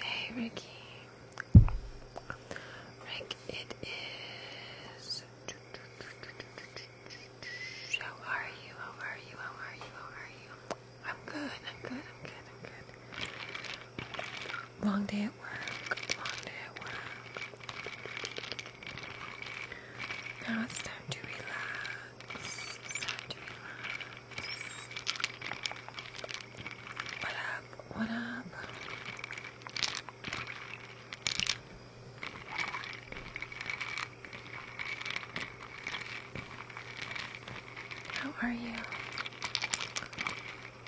Hey Ricky. Rick, it is. How are you? How are you? How are you? How are you? I'm good. I'm good. I'm good. I'm good. Long day at work, long day at work. Now it's time to relax. It's time to relax. What up? What up? How are you?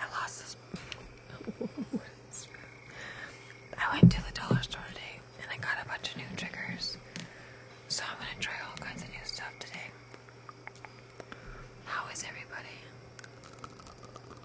I lost this. I went to the dollar store today and I got a bunch of new triggers. So I'm going to try all kinds of new stuff today. How is everybody?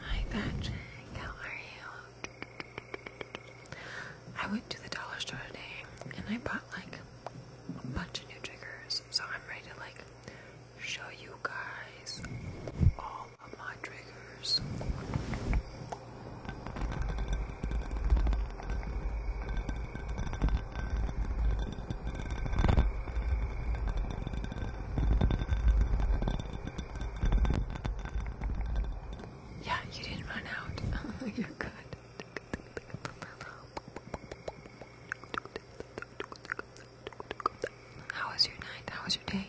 Hi Patrick, how are you? I went to the dollar store today and I bought like a bunch of new triggers, so I'm ready to like show you guys all of my triggers. Yeah, you didn't run out. You're good. How was your night? How was your day?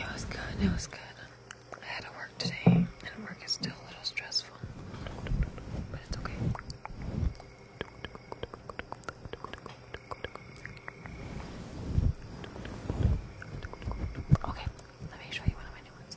It was good, it was good. I had to work today, and work is still a little stressful. But it's okay. Okay, let me show you one of my new ones.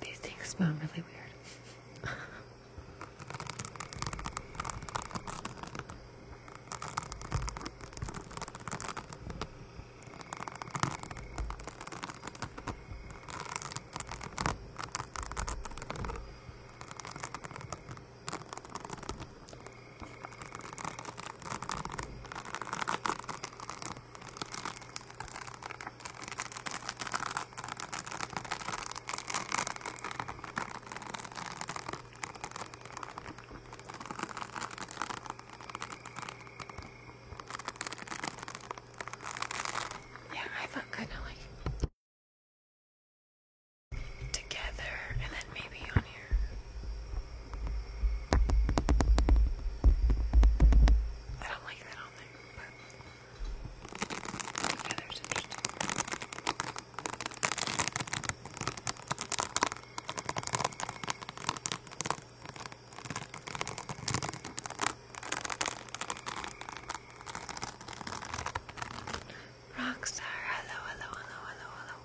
These things smell really weird. Yeah, I thought kind of like together and then maybe on here. I don't like that on there, but yeah, there's Rockstar, hello, hello, hello, hello, hello.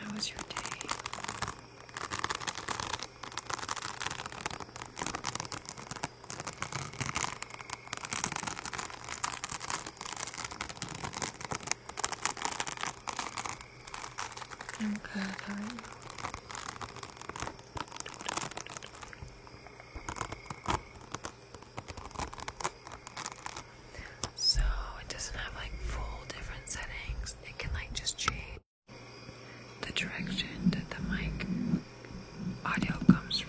How was your day? I'm so it doesn't have like full different settings. It can like just change the direction that the mic audio comes from.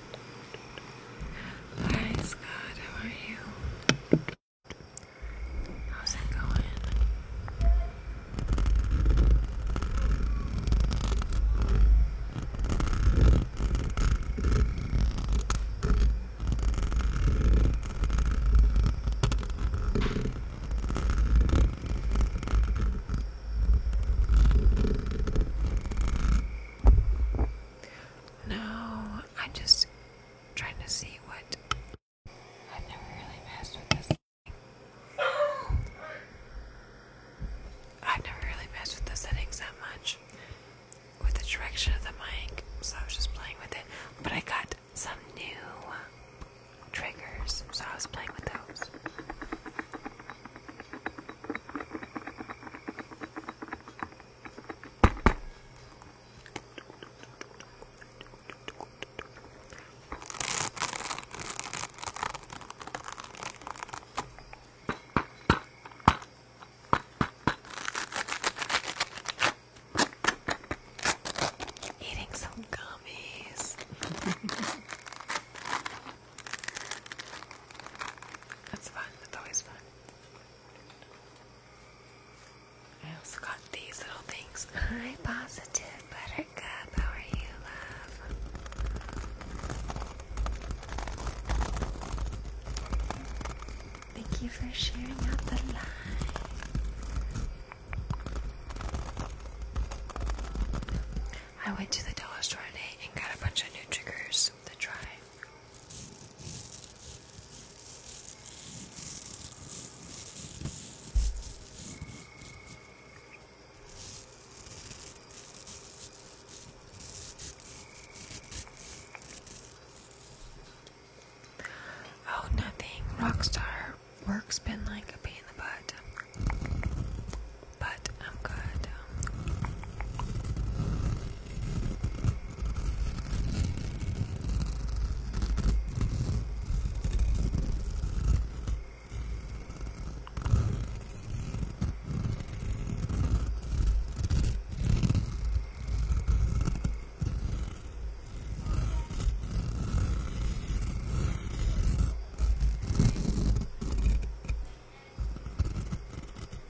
Hi Scott, how are you? How's it going? No, I'm just trying to see what. I've never really messed with this thing. I've never really messed with the settings that much with the direction of the mic, so I was just playing with it. But I got some new triggers, so I was playing with those. Eating some gummies. That's fun. That's always fun. I also got these little things. Hi, positive buttercup. How are you, love? Thank you for sharing out the live. I went to the dollar store today and got a bunch of new triggers. Oh, nothing. Rockstar work's been like a pain in the butt but I'm good.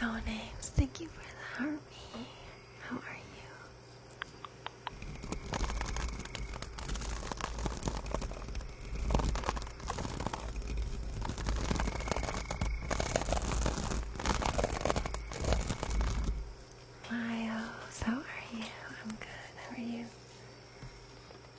No names. Thank you for the army. How are you? Miles, how are you? I'm good. How are you?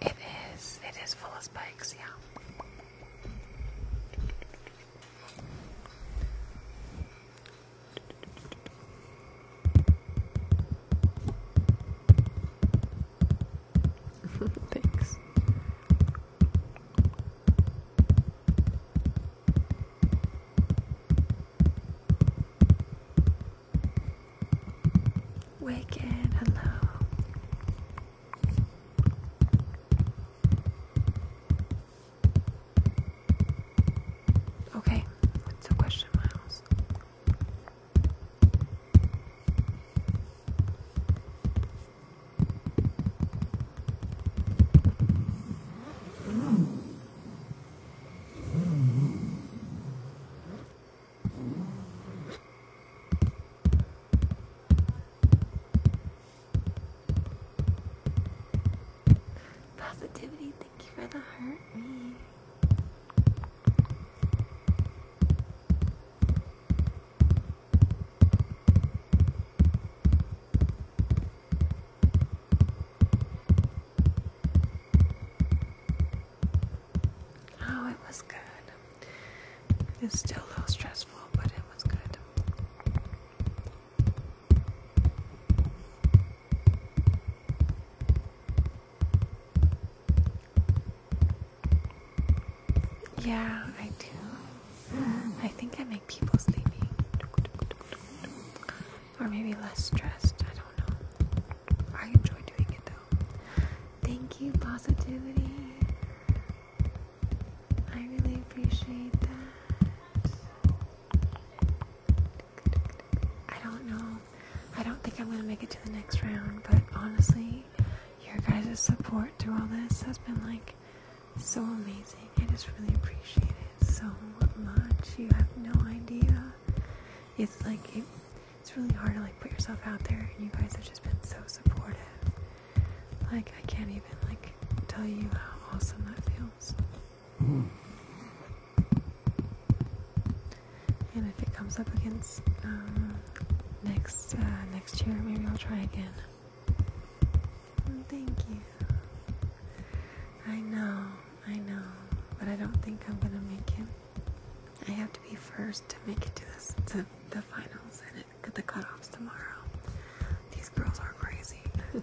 It is, it is full of spikes, yeah. Thanks. Wicked, hello. Okay, what's the question, Miles? Positivity, thank you for the heart me. Oh, it was good. It's still a little stressful, but it was good. Yeah, I do. I think I make people sleepy. Or maybe less stressed. I don't know. I enjoy doing it though. Thank you, positivity. I really appreciate that. I don't know. I don't think I'm going to make it to the next round, but honestly, your guys' support through all this has been like so amazing. I just really appreciate it so much. You have no idea. It's like it's really hard to like put yourself out there, and you guys have just been so supportive. Like I can't even like tell you how awesome that feels. Hmm. And if it comes up against uh, next uh, next year, maybe I'll try again. Oh, thank you. I know, I know, but I don't think I'm gonna make it. I have to be first to make it to, the finals and it, the cutoffs tomorrow. These girls are crazy.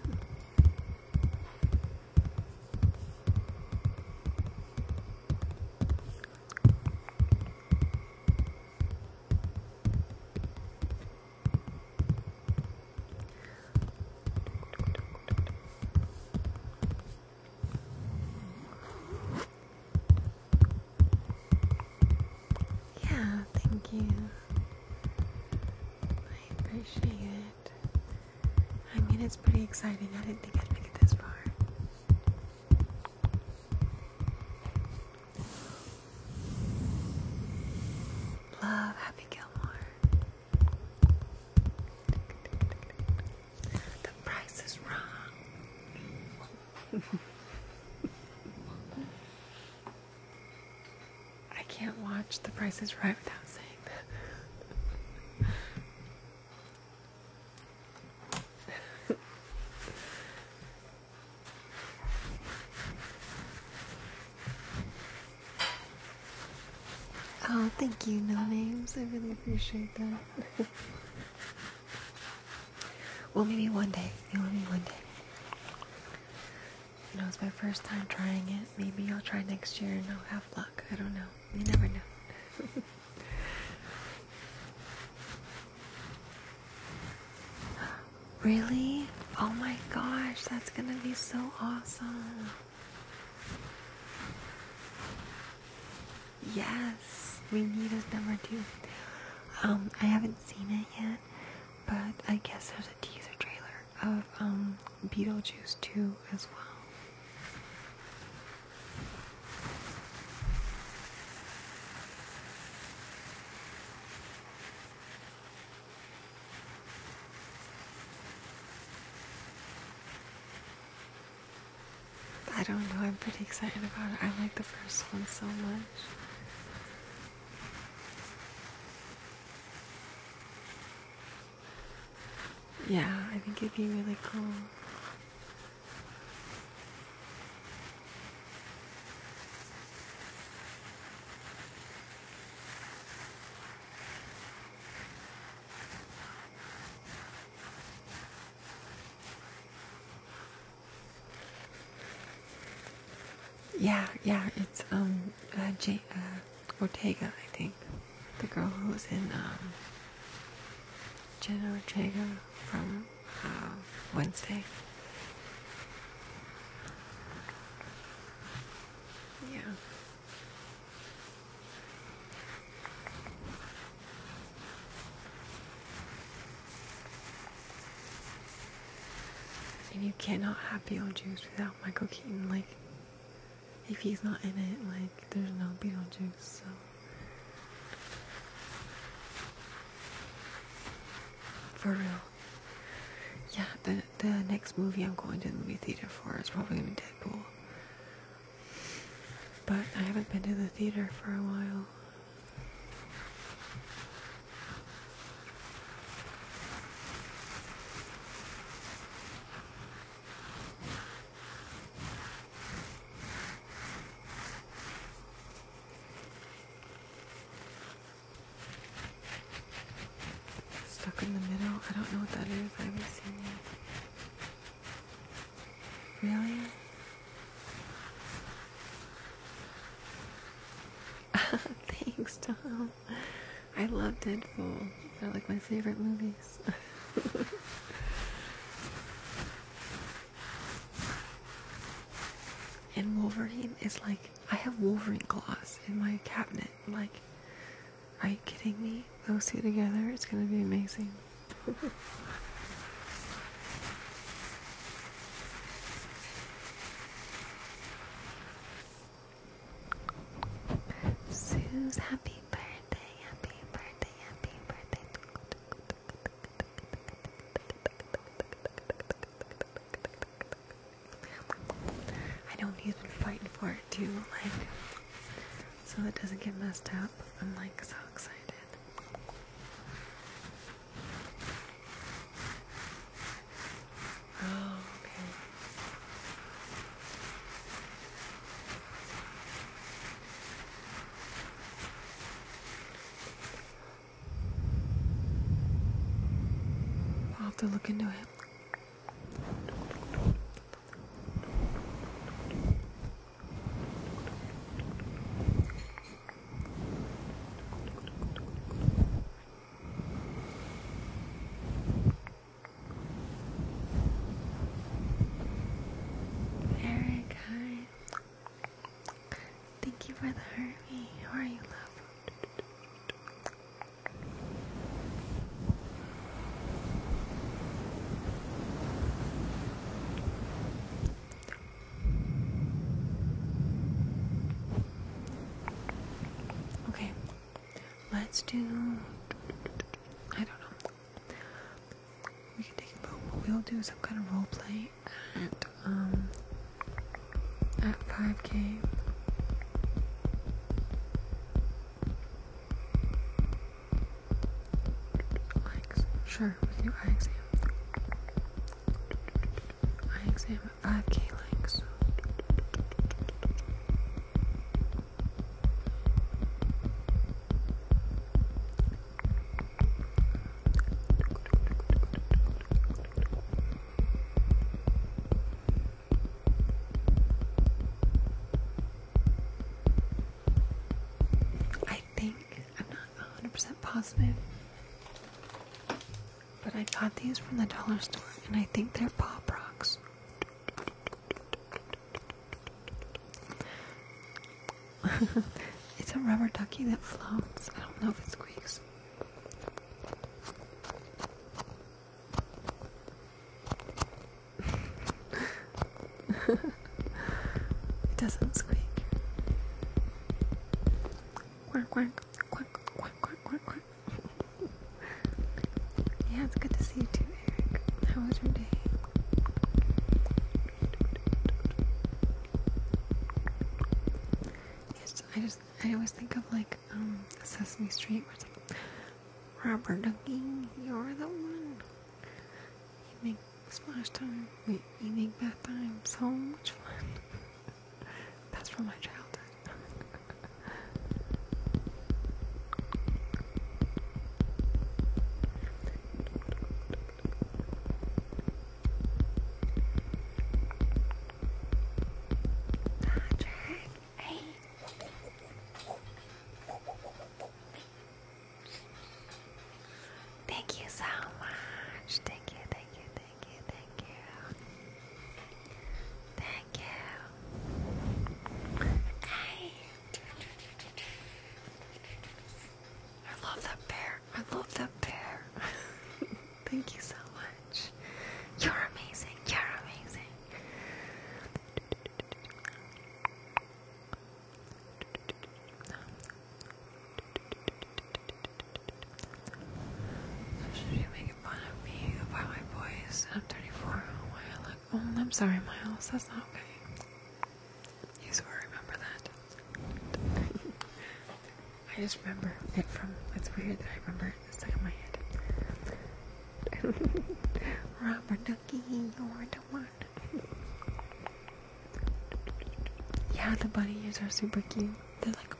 Yeah, thank you. I appreciate it. I mean, it's pretty exciting. I didn't think I'd make it this far. Love Happy Gilmore. The price is wrong. I can't watch The Price is Right without saying that. oh, thank you, No Names. I really appreciate that. well, maybe one day. You Maybe one day. You know, it's my first time trying it. Maybe I'll try next year and I'll have luck. I don't know. You never know. Really? Oh my gosh, that's gonna be so awesome. Yes, we need a number two. Um, I haven't seen it yet, but I guess there's a teaser trailer of um Beetlejuice 2 as well. I don't know, I'm pretty excited about it. I like the first one so much. Yeah, I think it'd be really cool. Yeah, yeah, it's um uh, J uh, Ortega, I think, the girl who was in um Jenna Ortega from uh, Wednesday. Yeah. And you cannot have Beetlejuice without Michael Keaton. Like, if he's not in it, like, there's no Beetlejuice, so. For real. Yeah, the the next movie I'm going to the movie theater for is probably gonna be Deadpool. But I haven't been to the theater for a while. Stuck in the middle? I don't know what that is. I haven't seen it. Really? Thanks, Tom. I love Deadpool. They're like my favorite movies. And Wolverine is like, I have Wolverine gloss in my cabinet. Like, are you kidding me? Those two together, it's gonna be amazing. Sue's happy birthday, happy birthday, happy birthday. I know he's been fighting for it too, like, so it doesn't get messed up. I'm like so excited. Oh, okay. I'll have to look into it. Eric, hi. Thank you for the Harvey. How are you, love? Okay, let's do. I don't know. We can take a We'll do some kind of role play at um at 5k likes sure eye exam eye exam at 5k likes I think, I'm not 100% positive, but I got these from the dollar store and I think they're Pop Rocks. it's a rubber ducky that floats. I don't know if it squeaks. it doesn't squeak. Quack, quack, quack, quack, quack, quack, yeah, it's good to see you too, Eric. How was your day? I just I always think of like um Sesame Street where it's like Robert Ducky, you're the one. You make splash time. you make bath time so much fun. That's from my childhood. Patrick, hey. Thank you so much. Thank you, thank you, thank you, thank you. Thank you. Hey. I love that bear. I love that bear. Thank you so much. You're amazing. You're amazing. should you making fun of me about my voice? I'm 34. why I look old? I'm sorry, Miles. That's not okay. You swear, remember that. I just remember it from. It's weird that I remember it it's stuck in my head. Robert Ducky, you're the one. Yeah, the bunny ears are super cute. They're like.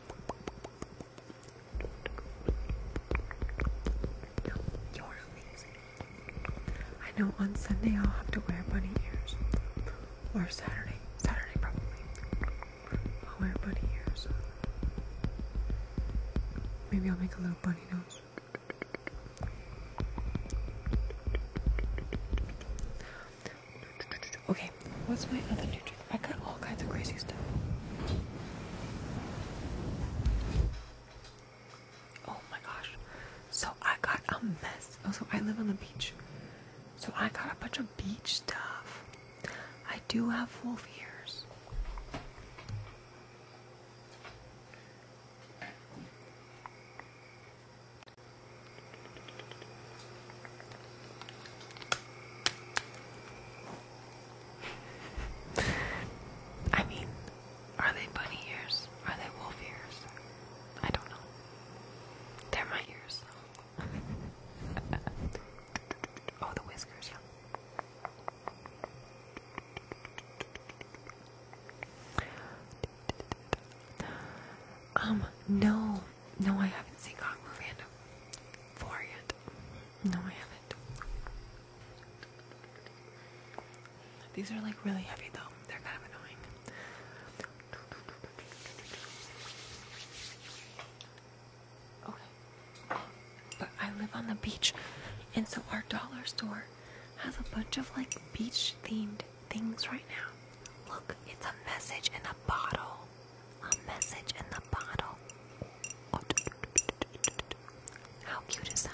you're amazing. I know on Sunday I'll have to wear bunny ears or Saturday. Saturday probably. I'll wear bunny ears. Maybe I'll make a little bunny nose. Okay, what's my other new trick? I got all kinds of crazy stuff. Oh my gosh. So I got a mess. Also, oh, I live on the beach. So I got a bunch of beach stuff. I do have wolf ears. I mean, are they bunny ears? Are they wolf ears? I don't know. They're my ears, oh, the whiskers, yeah. Um, no, no, I haven't seen Congo Fandom 4 yet. No, I haven't. These are like really heavy though, they're kind of annoying. Okay. But I live on the beach, and so our dollar store has a bunch of like beach themed things right now. Look, it's a message in a bottle. A message in the bottle. How cute is that?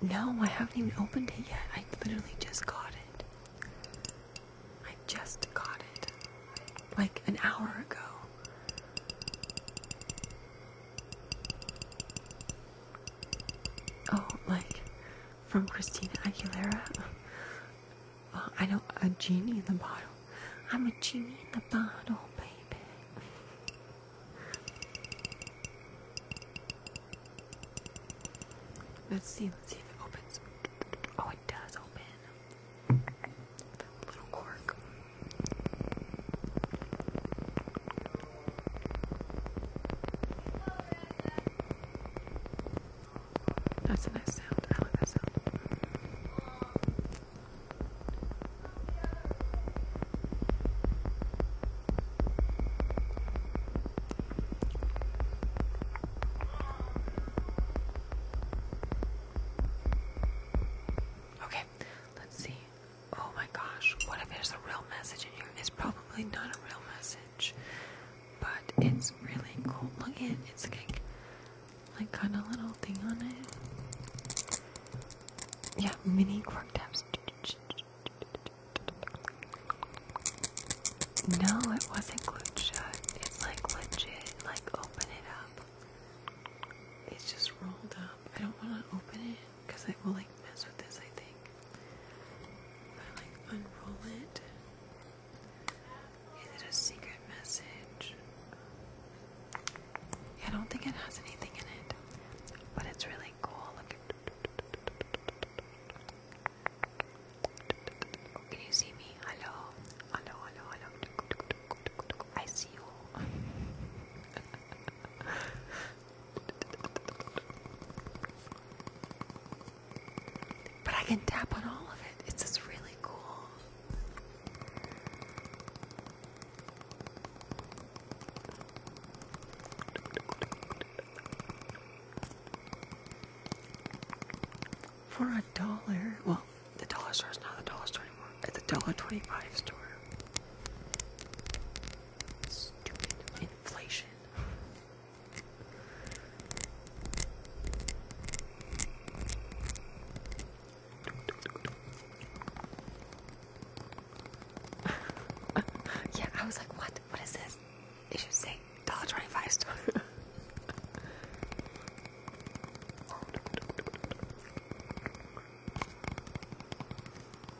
No, I haven't even opened it yet. I literally just got it. I just got it. Like an hour ago. Oh, like from Christina Aguilera. I know a genie in the bottle. I'm a genie in the bottle, baby. Let's see. Let's see if it opens. Oh, it does open. Little cork. That's a nice sound. Okay, let's see. Oh my gosh, what if there's a real message in here? It's probably not a real message, but it's really cool. Look at it, it's like, like kind of little thing on it. Yeah, mini quirk tabs. No, it wasn't glued shut. It's like legit, like open it up. It's just rolled up. I don't want to open it because I will like mess with this I think. I like unroll it. Is it a secret message? Yeah, I don't think it has anything in it, but it's really cool. Look at oh, Can you see me? Hello, hello, hello, hello. I see you. But I can tap on all of it. It's just really cool. For a dollar, well, the dollar store is not the dollar store anymore. It's a dollar twenty-five store inflation. yeah, I was like, what? What is this? They should say dollar twenty-five store.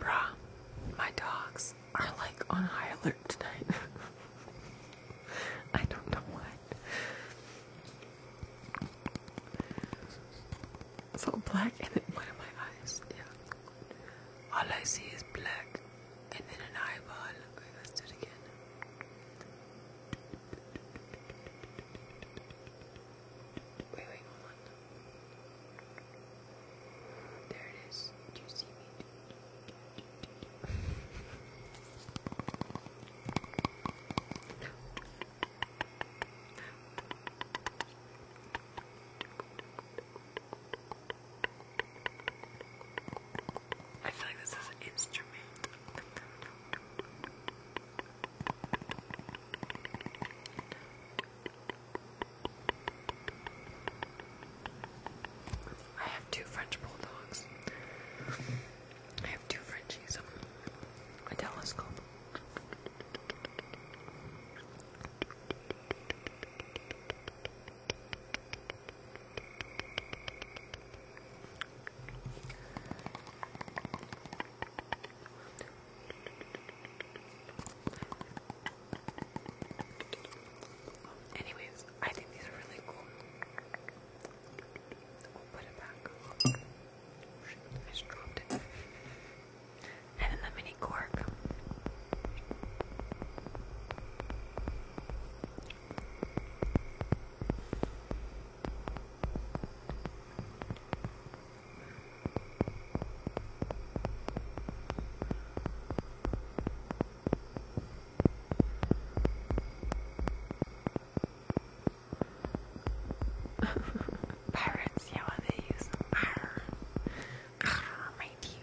Bruh, my dogs are like on high alert tonight. I don't know why. It's all black and then one of my eyes. Yeah. All I see is black and then an eyeball. Okay, let's do it again. Wait, wait, hold on. There it is. Do you see me? I feel like this is an instrument. I have two French bulldogs. I have two Frenchies. A telescope. Anyways, I think these are really cool. We'll put it back. Oh, I just dropped it. And then the mini cork. Pirates, yeah, well, they use them. Arr. Arr, my dear.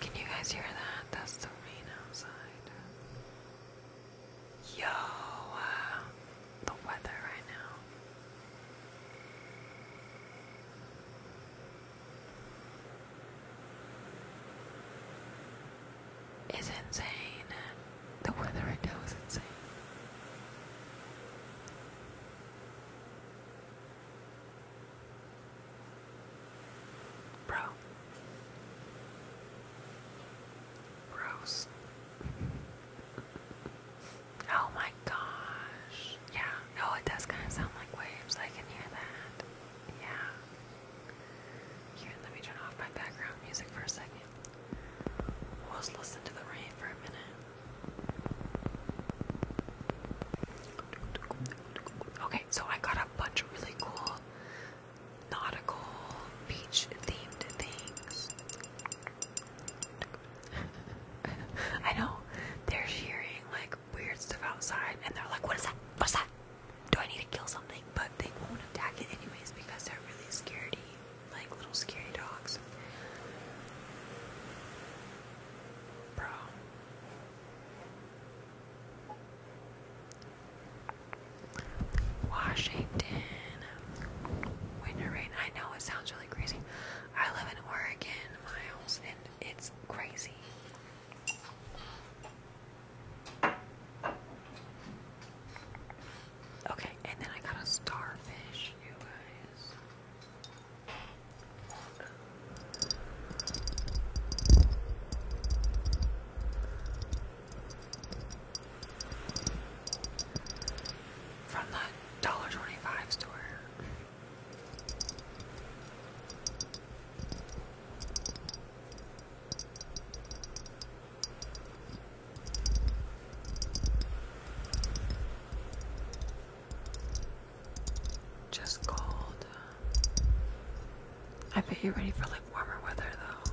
Can you guys hear that? That's the rain outside. Yo, uh, The weather right now is insane. The weather right now is insane. Bro. Gross. oh my gosh. Yeah, no, it does kind of sound like waves. I can hear that. Yeah. Here, let me turn off my background music for a second. We'll listen to the rain for a minute. Okay, so I got a bunch of really cool nautical beach themed things. I know they're hearing like weird stuff outside and they're like, What is that? What's that? do I need to kill something? But they won't attack it anyways because they're really scaredy, like little scary dogs. Bro. Washington. Winter rain. I know it sounds really crazy. I live in Oregon, Miles, and it's crazy. Okay, and then I got a starfish, you guys. From the dollar twenty five store. Just cold. I bet you're ready for like warmer weather though.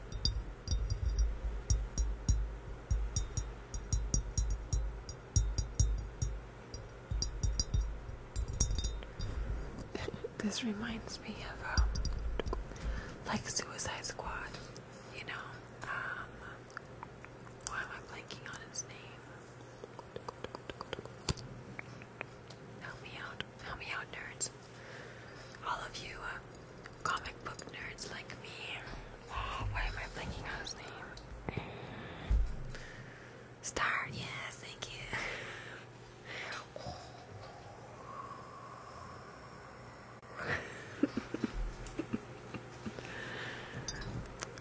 this reminds me of um, like Suicide Squad, you know. Um, why am I blanking on his name? Help me out, help me out, nerds! All of you uh, comic book nerds like me. Oh, why am I blanking on his name? Star, yes, thank you.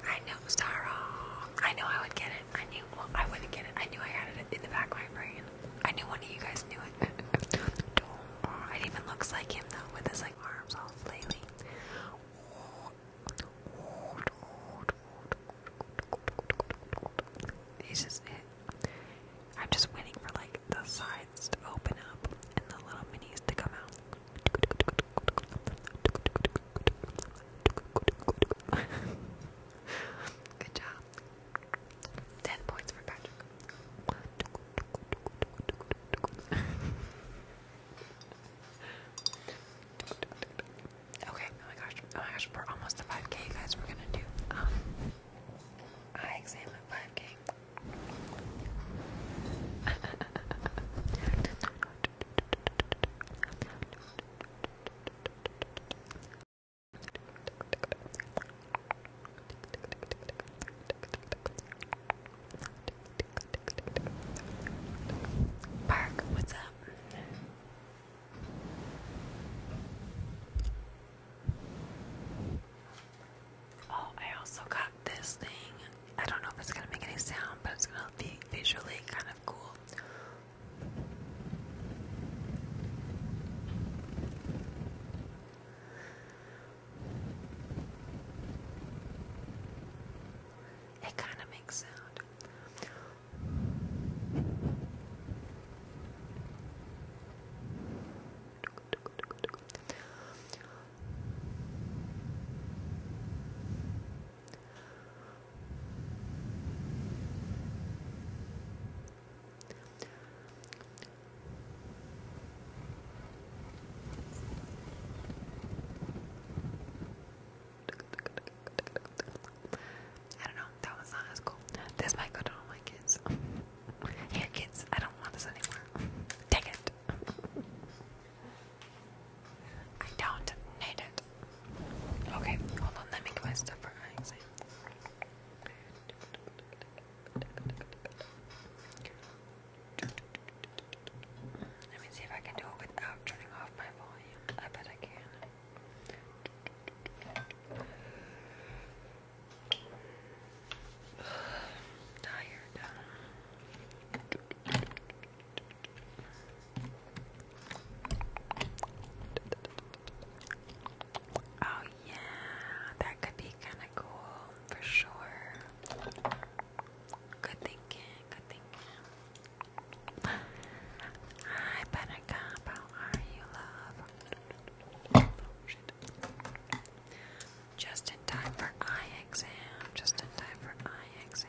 I know Starro. Oh, I know I would get it. I knew I wouldn't get it. I knew I had it in the back of my brain. I knew one of you guys knew it it even looks like him though, with his like arms all flailing. He's just I'm just waiting for like the sides to open up and the little minis to come out. Good job. Ten points for Patrick okay, oh my gosh, oh my gosh, we're almost to 5k, guys. We're gonna do um eye at 5k. Park, what's up? Oh, I also got this thing. I don't know if it's gonna make any sound, but it's gonna be visually kind of cool. It kind of makes sound. I don't know, that one's not as cool. This might go to all my kids. Here, kids, I don't want this anymore. Take it. I don't need it. Okay, hold on, let me get my stuff for let me see if I can do it without turning off my volume. I bet I can. Tired. Oh yeah, that could be kind of cool for sure. Good thinking, good thinking. Hi, Buttercup, how are you, love? Oh, just in time for eye exam, just in time for eye exam.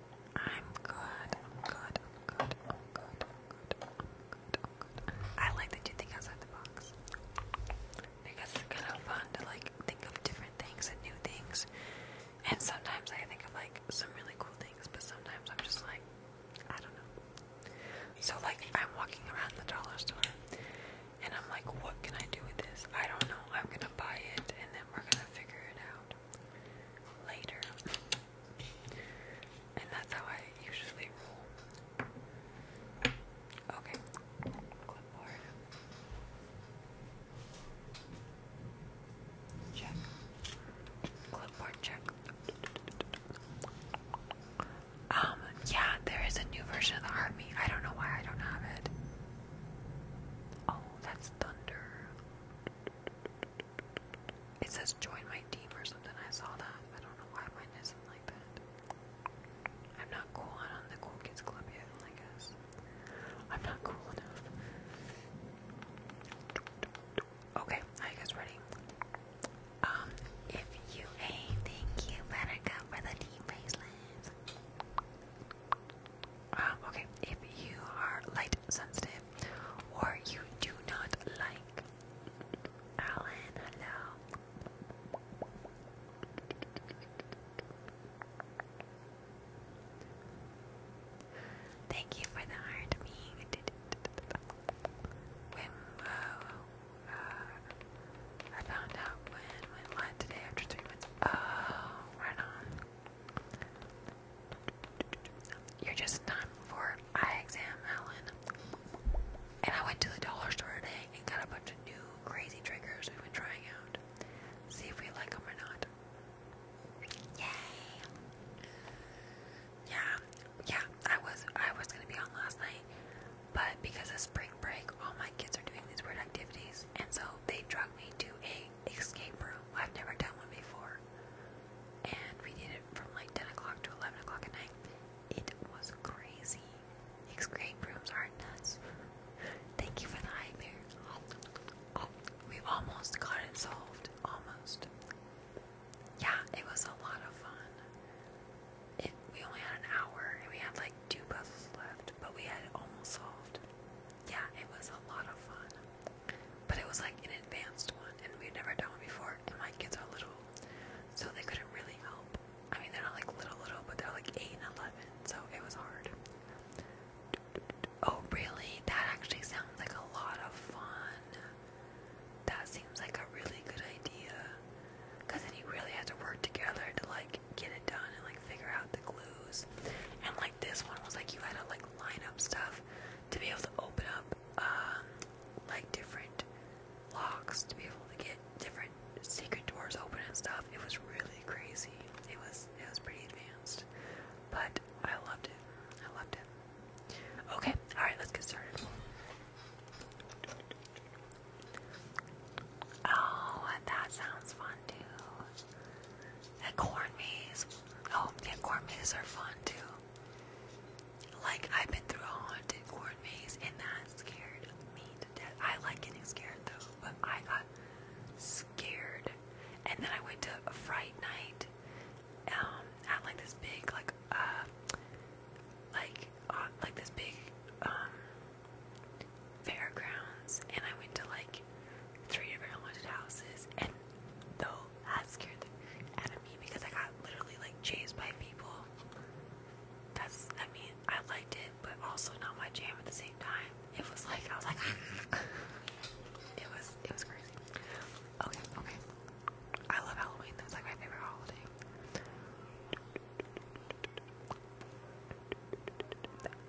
I'm good. i good. good. good. good. good. good. I like that you think outside the box. Because it's kind of fun to like think of different things and new things. And sometimes I think of like some really cool things, but sometimes I'm just like, I don't know. So like I'm walking around the dollar store and I'm like, what can I do with this? I don't know. I'm gonna buy it and then we're gonna figure it out later. and that's how I usually roll. Okay, clipboard. Check. Clipboard check. Um, yeah, there is a new version of the army. I don't know why I don't have it. Oh, that's thunder. It says join my team or something. I saw that. I don't know why mine isn't like that. I'm not cool. I'm the cool kids club yet, I guess. I'm not cool enough. Okay, are you guys ready? Um, if you ain't you better go for the team bracelets. Um, okay, if you are light sensitive or you do not like. hello. Thank you for the heart me. Uh, I found out when, today after three months. Oh, right on. You're just in time for eye exam, Alan. And I went to the dollar store today and got a bunch of new crazy triggers we've been trying out. See if we like them or not. Yay! Yeah, yeah. I was I was gonna be on last night, but because of spring break, all my kids are doing these weird activities, and so they drug me to a escape room. I've never done one before, and we did it it from like 10 o'clock to 11 o'clock at night. It was crazy. Escape rooms are nuts. Thank you for the hype here. Oh, oh, we almost got it solved. Almost. Yeah, it was a lot of fun. It, we only had an hour and we had like two puzzles left, but we had it almost solved. Yeah, it was a lot of fun but it was like an advanced one, and we've never done one before. And my kids are little, so they couldn't really help. I mean, they're not like little, little, but they're like eight and eleven, so it was hard. Oh, really? That actually sounds like a lot of fun. That seems like a really good idea. Because then you really have to work together to like get it done and like figure out the clues. And like this one was like you had to like line up stuff to be able to open up um, like different locks to be able to get different secret doors open and stuff. It was really crazy. It was it was pretty advanced, but I loved it. I loved it. Okay, all right, let's get started. Oh, that sounds fun too. That corn maze. Oh, yeah, corn mazes are fun too. Like, I've been through a haunted corn maze, and that scared me to death. I like getting scared, though, but I got scared. And then I went to a Fright Night um, at, like, this big, like, uh, like, uh, like this big, um, fairgrounds, and I went to, like, three different haunted houses, and those that scared the out of me because I got literally like chased by people. That's, I mean, I liked it, but also not my jam at the same time. It was like, I was like, it was, it was crazy. Okay, okay. I love Halloween. That's like my favorite holiday.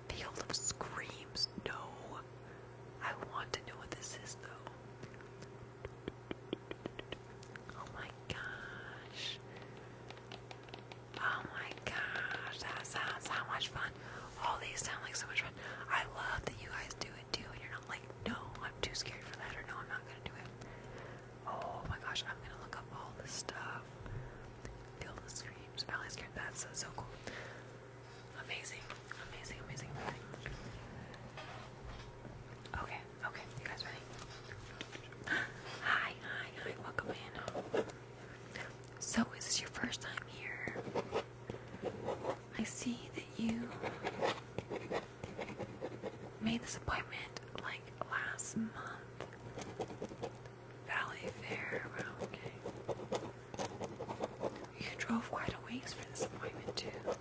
Field of Screams. No. I want to know what this is though. Oh my gosh. Oh my gosh, that sounds so much fun. All these sound like so much fun. I love that you guys do it too, and you're not like, no, I'm too scared for that, or no, I'm not gonna do it. Oh my gosh, I'm gonna look up all this stuff. Feel the screams. Valley scared. That's uh, so cool. Amazing, amazing, amazing. Okay. Okay, you guys ready? Hi, hi, hi, welcome in. So, is this your first time here? I see that you made this appointment like last month. Valley Fair, wow, okay. You drove quite a ways for this appointment, too.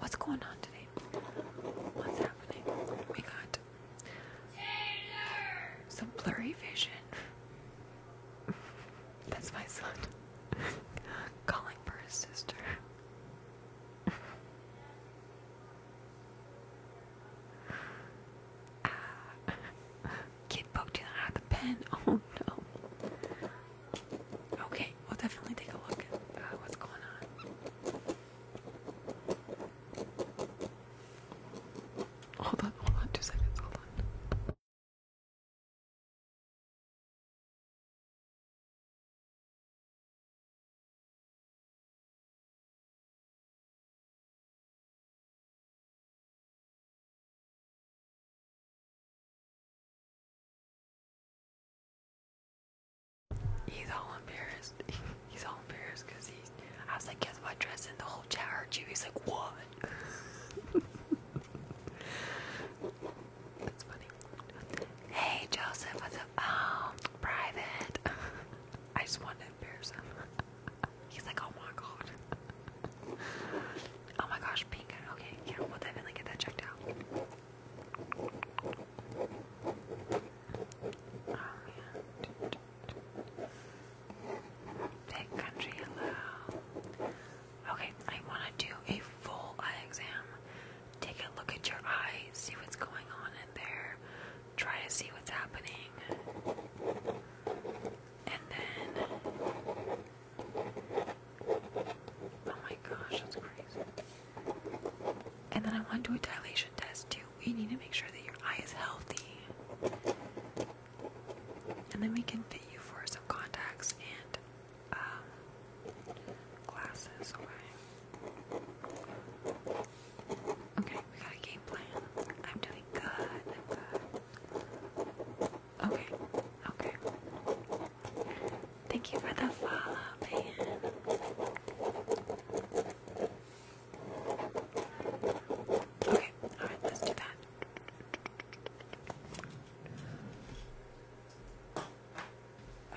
What's going on today? What's happening? We oh got some blurry vision. That's my son calling for his sister. Ah. kid poked you the pen. Oh no. Okay, we'll definitely take a look uh, what's going on. Hold on, hold on, two seconds, hold on. He's all embarrassed. He's all embarrassed because he's. I was like, guess what, dressing the whole chat heard you. He's like, what? That's funny. Hey, Joseph, what's up? Oh, private. I just wanted to embarrass him. He's like, oh my god. Oh my gosh, pink. Okay, yeah, we'll definitely get that checked out. Big oh, country, hello. Okay, I want to do a full eye exam. Take a look at your eye, see what's going on in there, try to see what's happening, and then Oh my gosh, that's crazy. And then I want to do a dilation test too. We need to make sure that your eye is healthy. And then we can fit you for some contacts and um, glasses, okay? we got a game plan. I'm doing good. Okay, okay. Thank you for the follow, man. Okay, alright, let's do that.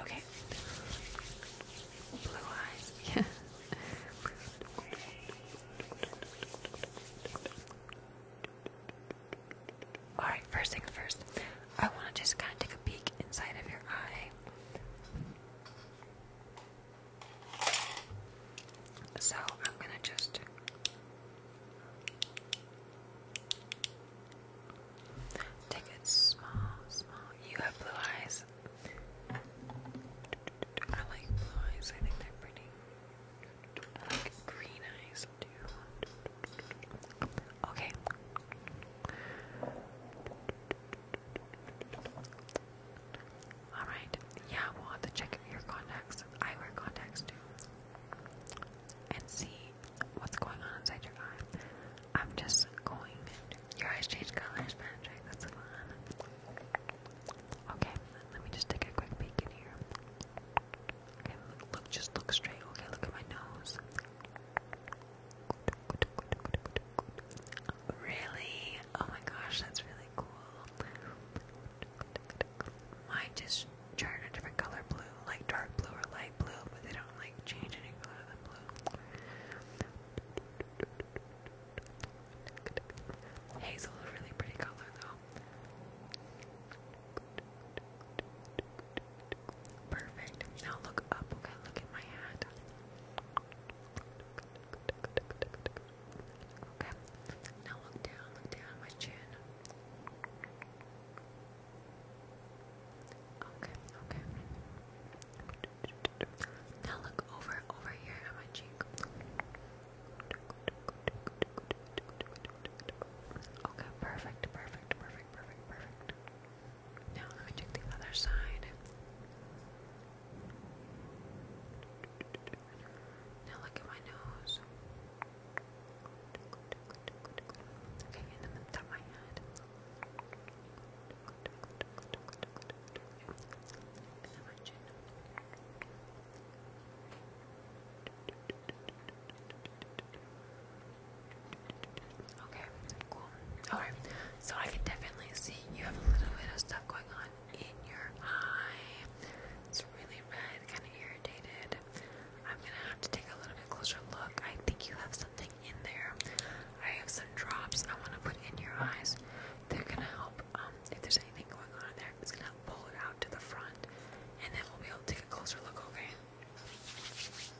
Okay. Blue eyes, yeah. Alright, first things first, I want to just kind of take a peek inside of your eye. So I'm going to just. Take it small, small. You have blue eyes. I like blue eyes. I think they're pretty. I like green eyes too. Okay. Alright. Yeah, we'll have to check your contacts. I wear contacts too. And see what's going on inside your eye. I'm just going. Your eyes change colors, magic. That's fun. Okay, let me just take a quick peek in here. Okay, look, just look straight. Okay, look at my nose. Really? Oh my gosh, that's really cool. Mine just turn a different color blue, like dark blue or light blue, but they don't like change any color than blue. Hazel is really pretty color though. Perfect. Now look up, okay? Look at my hand. Okay. Now look down, look down at my chin. Okay, okay. Now look over, over here at my cheek. Okay, perfect, perfect, perfect perfect, perfect, Now let me check the other side. Now look at my nose. Okay, and then the top of my head. And then my chin. Okay, cool. Alright, so I can definitely see you have a little bit of stuff going on in your eye. It's really red, kind of irritated. I'm gonna have to take a little bit closer look. I think you have something in there. I have some drops I want to put in your eyes. They're gonna help. Um, if there's anything going on in there, it's gonna pull it out to the front, and then we'll be able to take a closer look. Okay.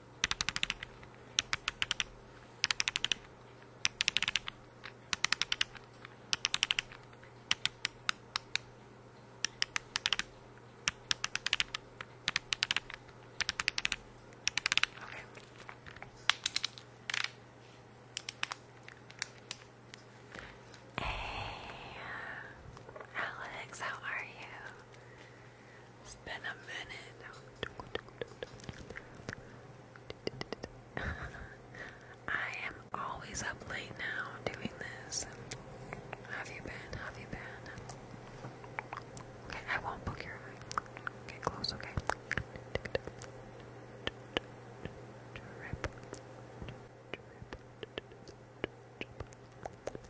Okay. Hey, Alex, how are you? It's been a minute. I am always up late now doing this. Have you been? Have you been? Okay, I won't book your eye. Get close, okay?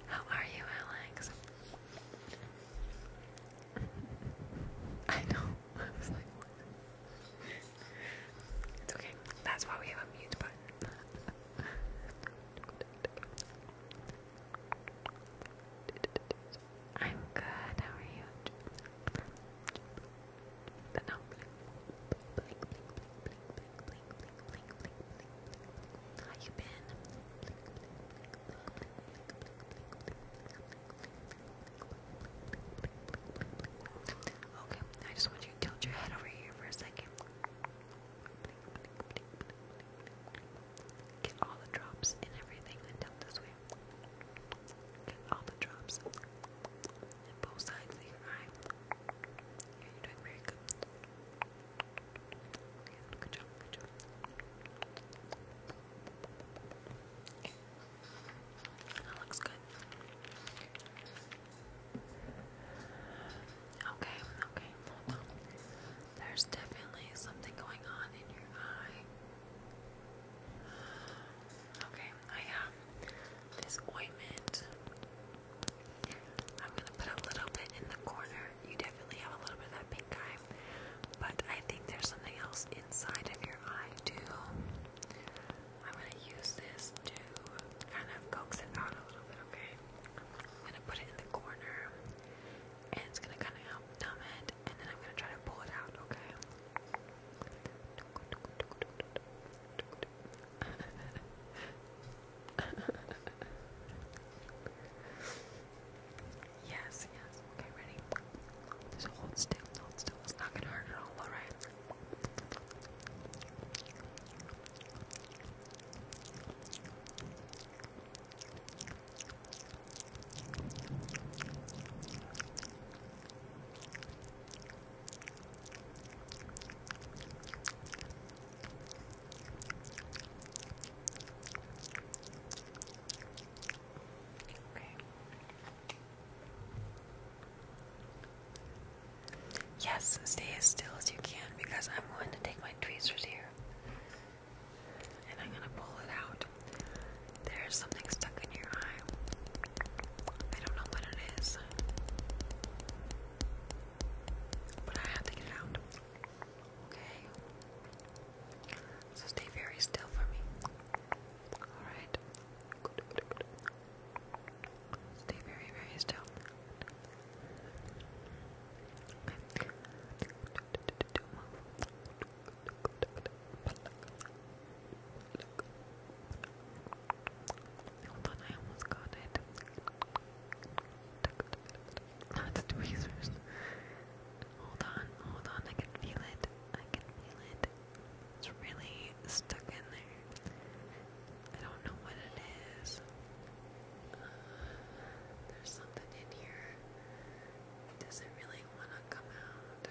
How are you, Alex? I know. It's okay. That's why we have a mute button. I'm good. How are you? How you been? Okay, I just want you to tilt your head over here for a second. Get all the drops and everything, and this way. Get all the drops both sides of your eye. you're doing very good. That looks good. Okay, okay, There's definitely something going on in your eye. Okay, I have this ointment. I'm gonna put a little bit in the corner you definitely have a little bit of that pink eye, but I think there's something else inside of your eye too. I'm gonna use this to kind of coax it out a little bit, okay? I'm gonna put it in the corner, and it's gonna kind of help numb it, and then I'm gonna try to pull it out, okay? yes, yes. Okay, ready? Just hold still, hold still. It's not gonna hurt at all, alright? Yes, stay as still as you can because I'm going to take my tweezers here and I'm going to pull it out. There's something stuck in your eye. I don't know what it is, but I have to get it out. Okay. So stay very still for me. Alright. Stay very, very still. Okay. I almost got it. No, it's tweezers. Hold on, hold on, I can feel it. I can feel it. It's really stuck in there. I don't know what it is. Uh, there's something in here. Does not really want to come out?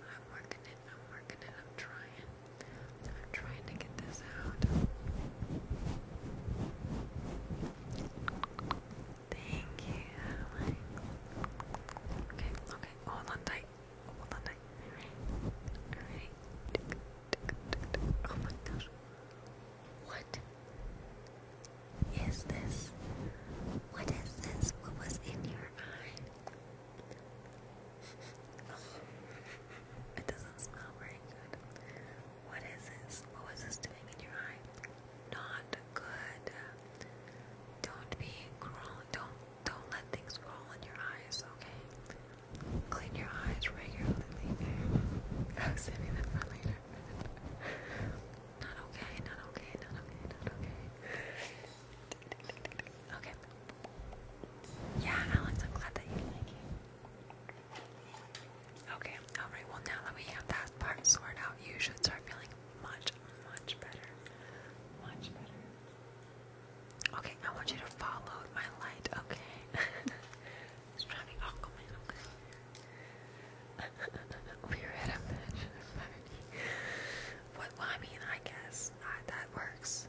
I'm working I'm working it. I'm trying. I'm trying to get this out. Thank you, Okay, okay. Hold on tight. Hold on tight. Alright. Alright. Oh my gosh. What is this? What is this? What was in your mind? it doesn't smell very good. What is this? What was this doing in your eye? Not good. Don't be crawling. Don't don't let things crawl in your eyes. Okay. Clean your eyes regularly. I that for later. not okay. Not okay. Not okay. Not okay. Okay. Yeah, Alex, I'm glad that you like it. Okay, alright, well now that we have that part sorted out, you should start feeling much, much better. Much better. Okay, I want you to follow my light, okay? it's probably Aquaman, okay? we were at a mansion What, I mean, I guess uh, that works.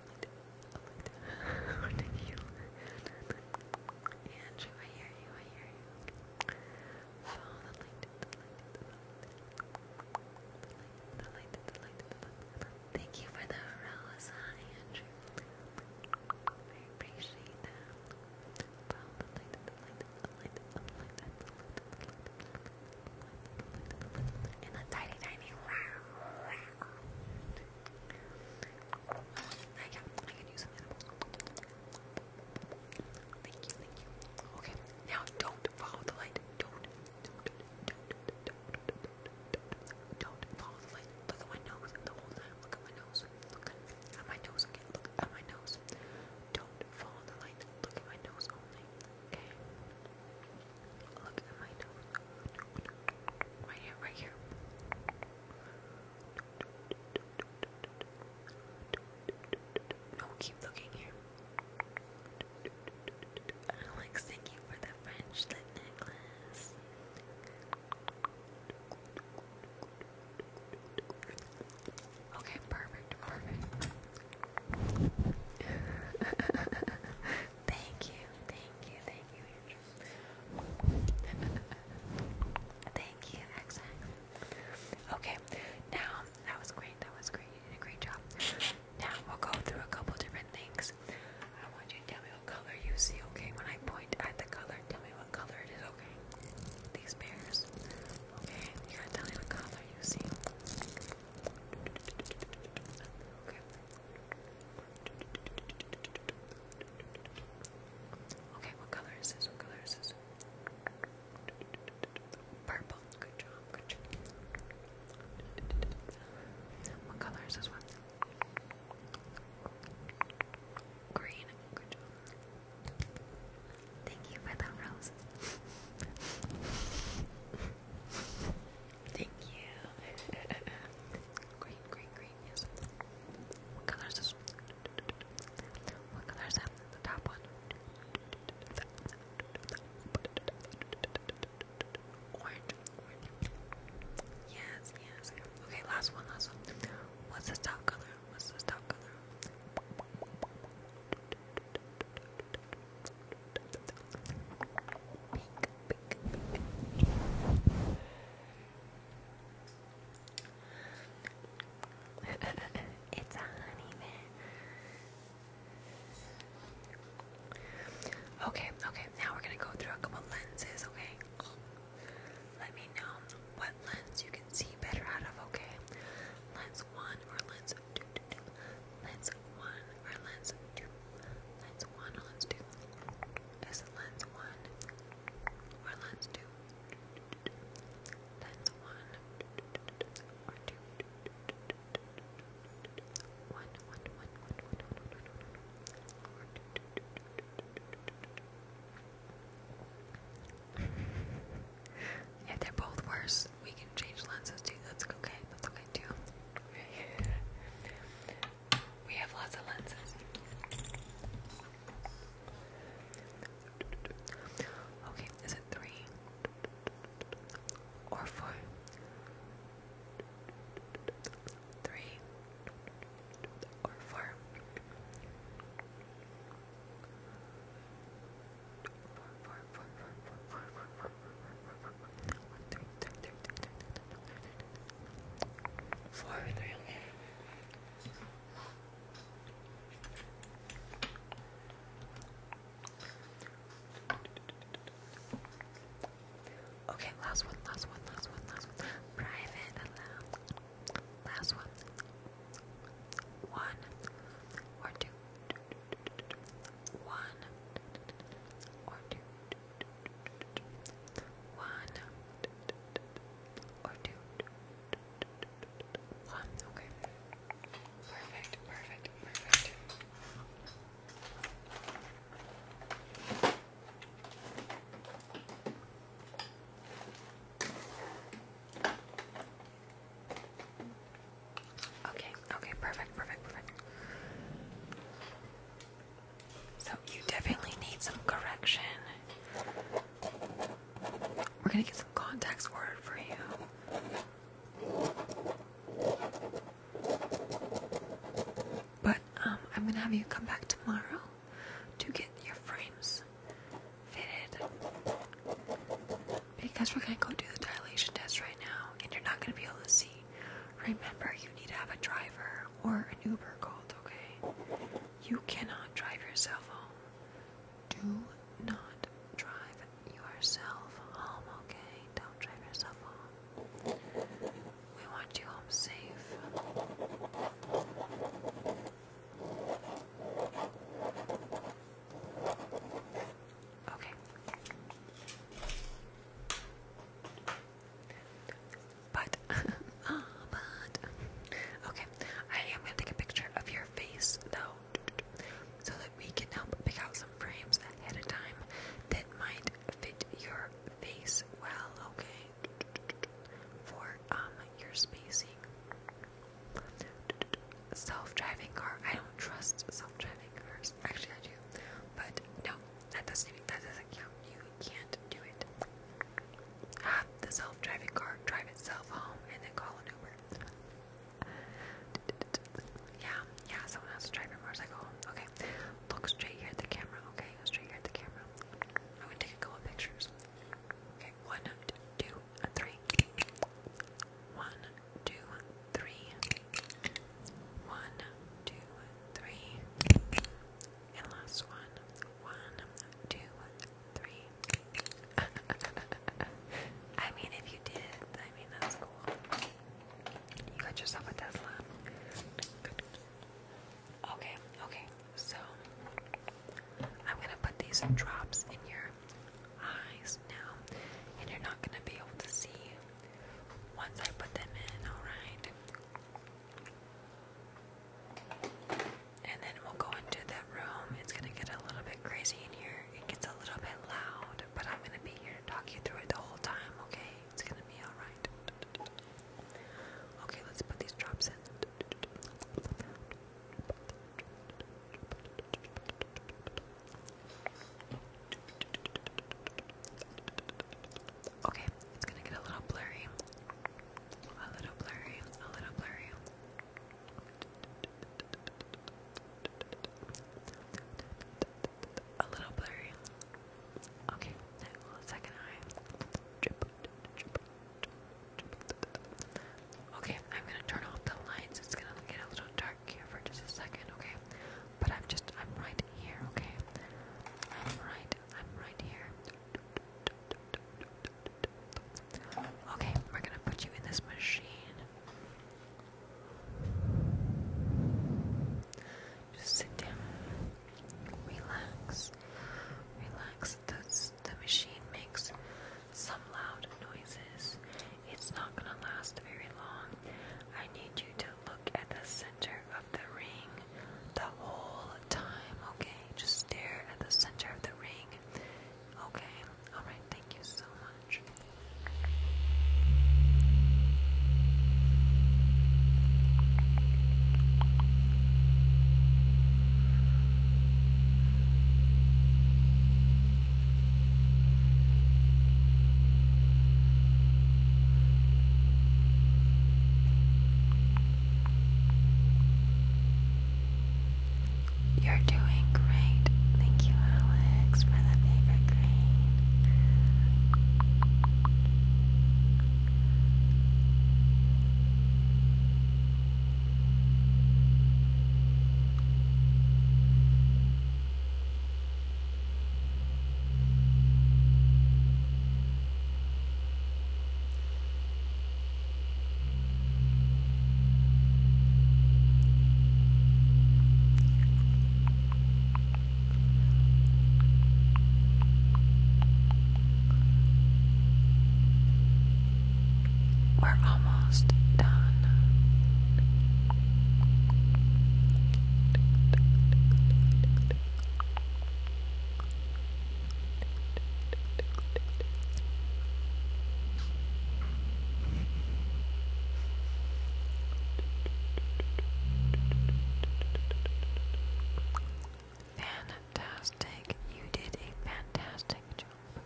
Andrew, I hear you, I hear you. Follow the light, the light, the light, the light, the light, the light, the light. Thank you for the umbrellas, Andrew? I appreciate that. Follow the light, the light, the light, the light, the light, the light, the light, the light, the light, the light, yeah, I can use some animals. Thank you, thank you. Okay, now don't follow the light. Don't, don't, don't, don't, don't, don't follow the light. Look at my nose the whole time. Look at my nose. Look at my nose again. Look at my nose. Don't follow the light. Look at my nose Okay. Look at my nose. Right here, right here. No, keep looking here. Alex, thank you for the French lip necklace. Okay, perfect, perfect. thank you, thank you, thank you. Thank you, X. Okay, now that was great. That was great. great job. Now we'll go through a couple different things. I want you to tell me what color you see. Okay, when I point at the color, tell me what color it is. Okay, these bears. Okay, you are going to tell me what color you see. Okay, Okay, what color is this? What color is this? Purple. Good job. What color is this one? Green. Good job. Thank you for the roses. Thank you. green, green, green, yes. What color is What color is that? The top one. Orange, Yes, yes. Okay, last one, last one. What's this top color? What's this top color? Pink, pick, it's a honey Okay, okay, now we're gonna go through a couple lenses, okay? Let me know what lens you can see better out of, okay? Lens 1 or lens two. lens 1 or lens 2, Lens 1 or lens 2? Is it 1 or lens 2? Lens 1 or 2. If they're both worse, we can change lenses too. That's okay. That's okay too. We have lots of lenses. Okay, is it three or four? Three or four? Four, four, four, four, four, four, four, four, four, four, four, four, three, three, three, three, three, Four with Okay, last one, last one, last one, last one. Private Last one. One or two. One or two. One or two. One, okay. Perfect, perfect, perfect. Okay, okay, perfect, perfect, perfect. So you definitely need some correction. We're gonna get some contacts word for you. But um, I'm gonna have you come back tomorrow to get your frames fitted. Because we're gonna go do the dilation test right now, and you're not gonna be able to see. Remember, you need to have a driver or an Uber called, okay? You cannot drive yourself home. Do not drive yourself home, okay? Don't drive yourself home. We want you home safe. Okay. But, oh, but, okay, I am gonna take a picture of your face though, so that we can help pick out some frames ahead of time that might fit your face well, okay, for um your spacing. Self-driving car. I don't trust self-driving cars. Actually, I do, but no, that doesn't even, that doesn't count can't do it. Have the self-driving car drive itself home and then call an Uber. Yeah, yeah, someone else drive your motorcycle Okay, look straight here at the camera. Okay, straight here at the camera. I'm gonna take a couple pictures. Okay, one, two, three. One, two, three. One, two, three. And last one. I mean, if you did, I mean, that's cool. You got yourself a Tesla. Okay, okay. So, I'm gonna put these drops in your eyes now, and you're not gonna be able to see once I put them in, alright? And then we'll go into that room. It's going to get a little bit crazy in here. It gets a little bit loud, but I'm going to be here to talk you through it the whole time, okay? It's going to be alright. Okay, let's put these drops in. Okay, it's gonna get a little blurry. A little blurry, a little blurry. A little blurry. Okay, second Okay, I'm gonna turn off the lights. It's gonna get a little dark here for just a second, okay? But I'm just, I'm right here, okay? I'm right, I'm right here. Okay, we're gonna put you in this machine. Just sit down, relax, relax. The, machine makes some loud noises. It's not gonna last very long. I need you to look at the center of the ring the whole time, okay? Just stare at the center of the ring. Okay, alright, thank you so much. You're doing great. Thank you, Alex, for the favorite grade. We're almost done. Fantastic. You did a fantastic job.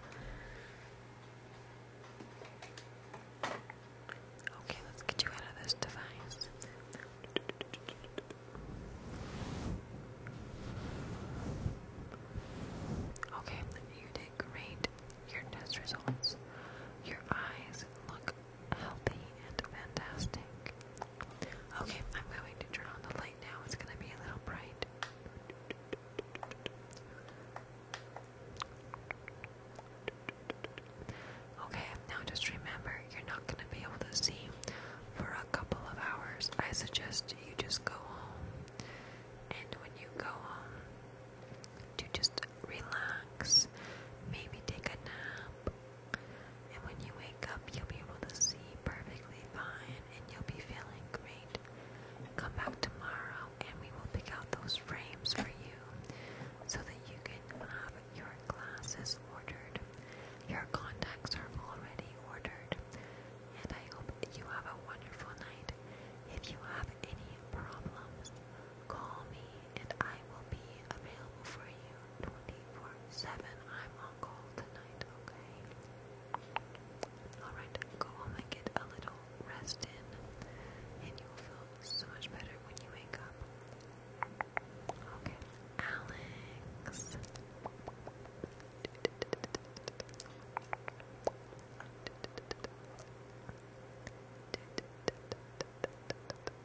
Okay, let's get you out of this device. Okay, you did great. Your test results. Your eyes look healthy and fantastic. Okay, I'm going to turn on the light now. It's going to be a little bright. Okay, now just remember you're not going to be able to see for a couple of hours, I suggest you just go home. And when you go home, to just relax, maybe take a nap. And when you wake up, you'll be able to see perfectly fine and you'll be feeling great. Come back tomorrow and we will pick out those frames for you so that you can have your glasses ordered. Your contacts are already ordered, and I hope you have a wonderful night. If you have any problems, call me and I will be available for you 24 7. I'm on call tonight, okay? Alright, go home and get a little rest in, and you'll feel so much better when you wake up. Okay. Alex.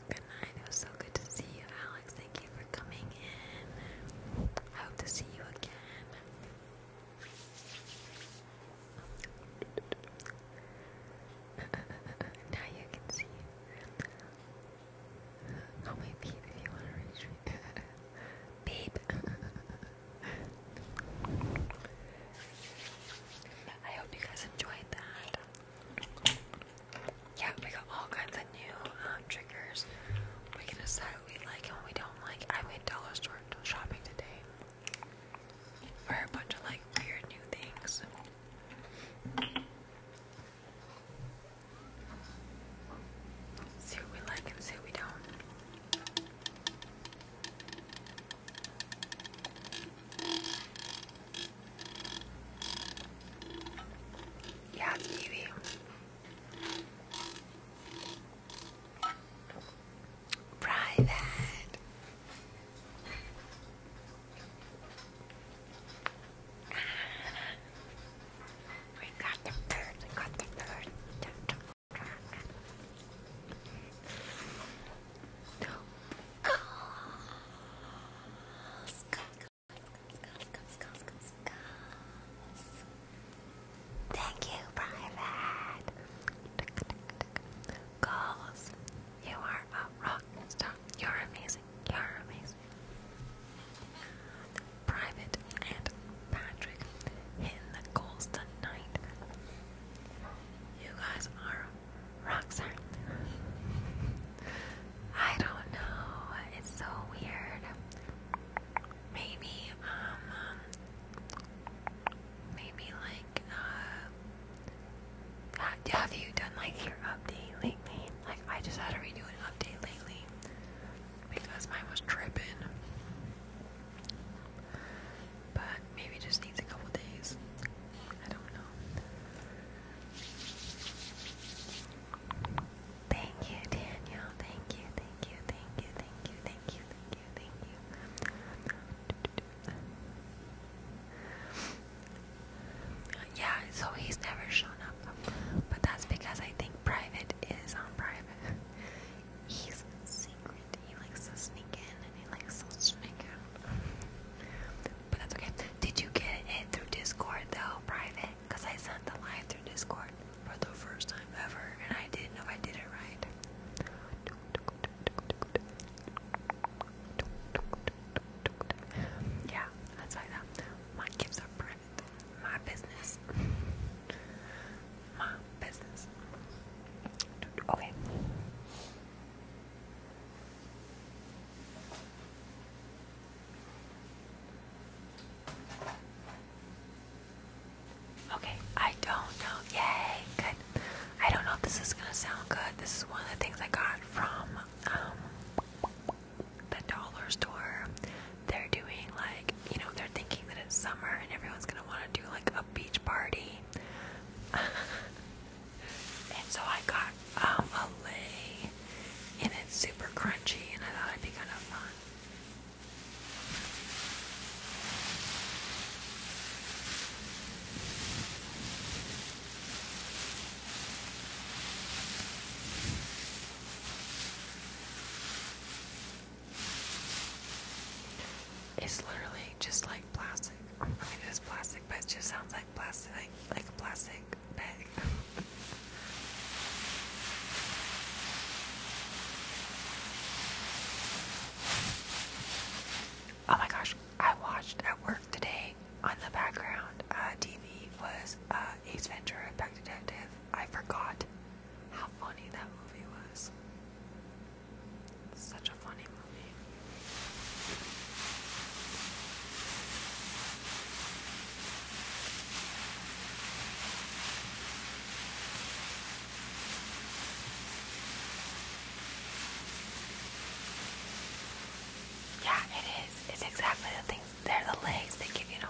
Good night. It was so good to see you, Alex. Thank you for coming in. I hope to see you again. now you can see. Call me Beep if you want to reach me. Beep. I hope you guys enjoyed that. Yeah, we got all kinds of new um, triggers. We can decide we like and we don't like. I went dollar store shopping today for a bunch of like weird new things. See what we like and see what we don't. Yeah, it's Private. We got the bird, we got the bird. Skulls, skulls, skulls, Thank you, Private. Goals, you are a rock star. You're amazing. You're amazing. Private and Patrick hitting the goals tonight. You guys are rock I don't know. It's so weird. Maybe, um, um maybe like, uh, have you done like your update lately? Like, I just had to redo an update lately because mine was tripping. But maybe just needs a couple days. I don't know. Thank you, Danielle. Thank you, thank you, thank you, thank you, thank you, thank you, thank you. Yeah, so he's never shown up. But that's because I think private is on private. He's secret. He likes to sneak in and he likes to sneak out. But that's okay. Did you get it through Discord though, private? Because I sent the line through Discord for the first time ever and I didn't know if I did it right. Yeah, that's like that. Mine gives a brand my business. my business. Okay. Okay, I don't know. Yay, good. I don't know if this is gonna sound good. This is one of the things I got from um, the dollar store, they're doing like, you know, they're thinking that it's summer and everyone's gonna wanna do like a beach party. and so I got um, a lei and it's super crunchy and I thought it'd be kind of fun. It's literally just like plastic. I mean, it is plastic, but it just sounds like plastic, like, like a plastic bag. oh my gosh, I watched at work today on the background TV uh, was uh, Ace Ventura Pet Detective. I forgot how funny that movie was. Such a funny movie. Yeah, it is. It's exactly the things. They're the legs they give you to no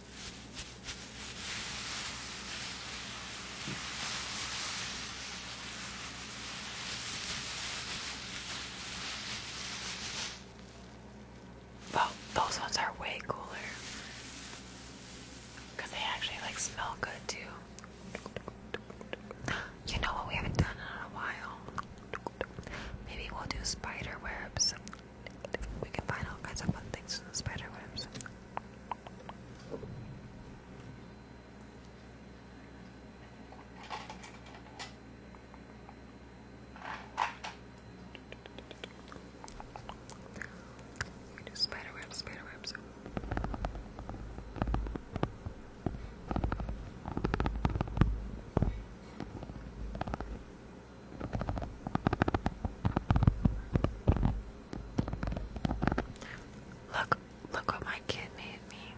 Well, those ones are way cooler because they actually like smell good too. You know what we haven't done in a while? Maybe we'll do spider webs. We can find all kinds of fun things in the spider webs. We do spider webs, spider webs. Look, look what my kid made me.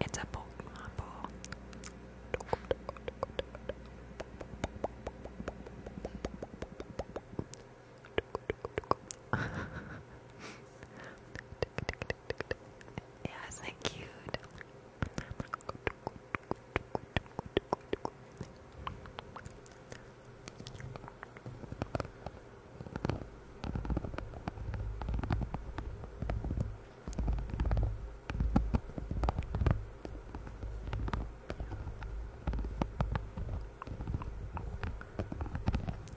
It's a Pokemon ball. Yeah, isn't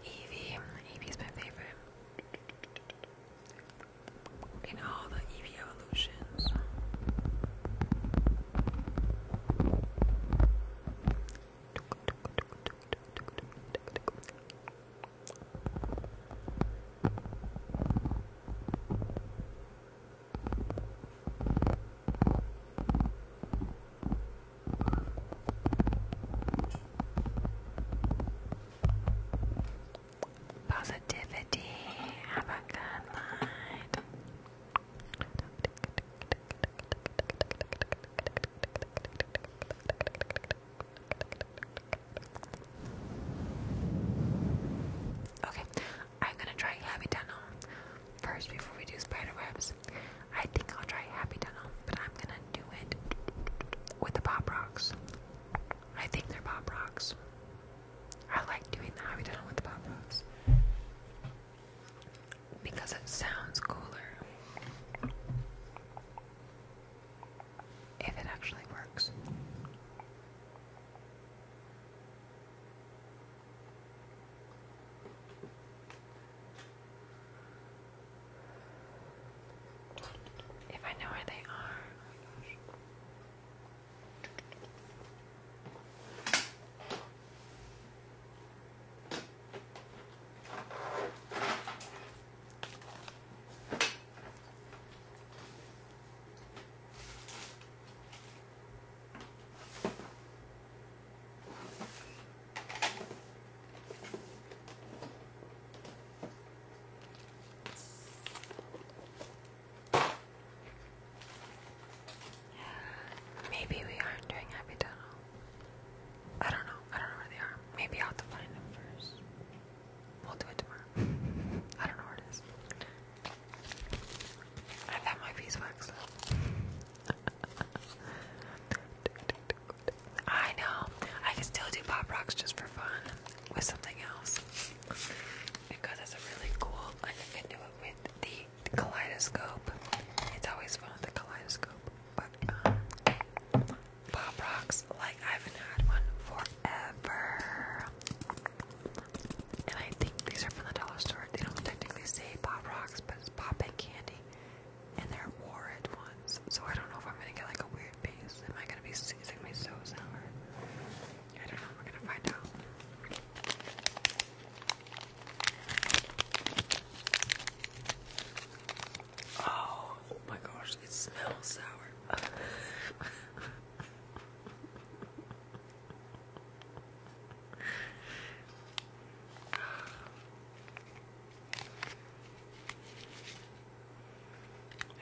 Evie, Evie's my favorite in all the Eevee evolutions positivity. Have a good night. Okay, I'm gonna try Happy Tunnel first before we do spider webs. I think I'll try Happy Tunnel, but I'm gonna do it with the pop rocks. I think they're pop rocks. I like doing the hobby tunnel with the pop rocks because it sounds cooler if it actually works. If I know where they are. Maybe we aren't doing happy I don't know. I don't know where they are. Maybe I'll have to find them first. We'll do it tomorrow. I don't know where it is. I've my beeswax I know. I can still do pop rocks just for fun with something else because it's a really cool, I can do it with the kaleidoscope. It's always fun with the kaleidoscope, but um, pop rocks, like I haven't had one forever. And I think these are from the dollar store. They don't technically say pop rocks, but it's pop and candy. And they're warhead ones. So I don't know if I'm gonna get like a weird weird Am I gonna be seizing my so sour? I don't know, we're gonna find out. Oh my gosh, it smells sour.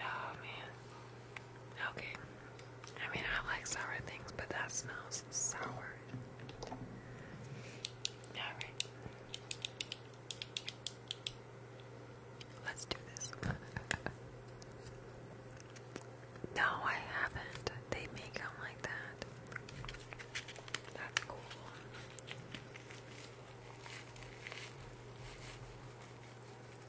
Oh man. Okay. I mean, I like sour things, but that smells sour. Alright. Let's do this. no, I haven't. They make them like that. That's cool.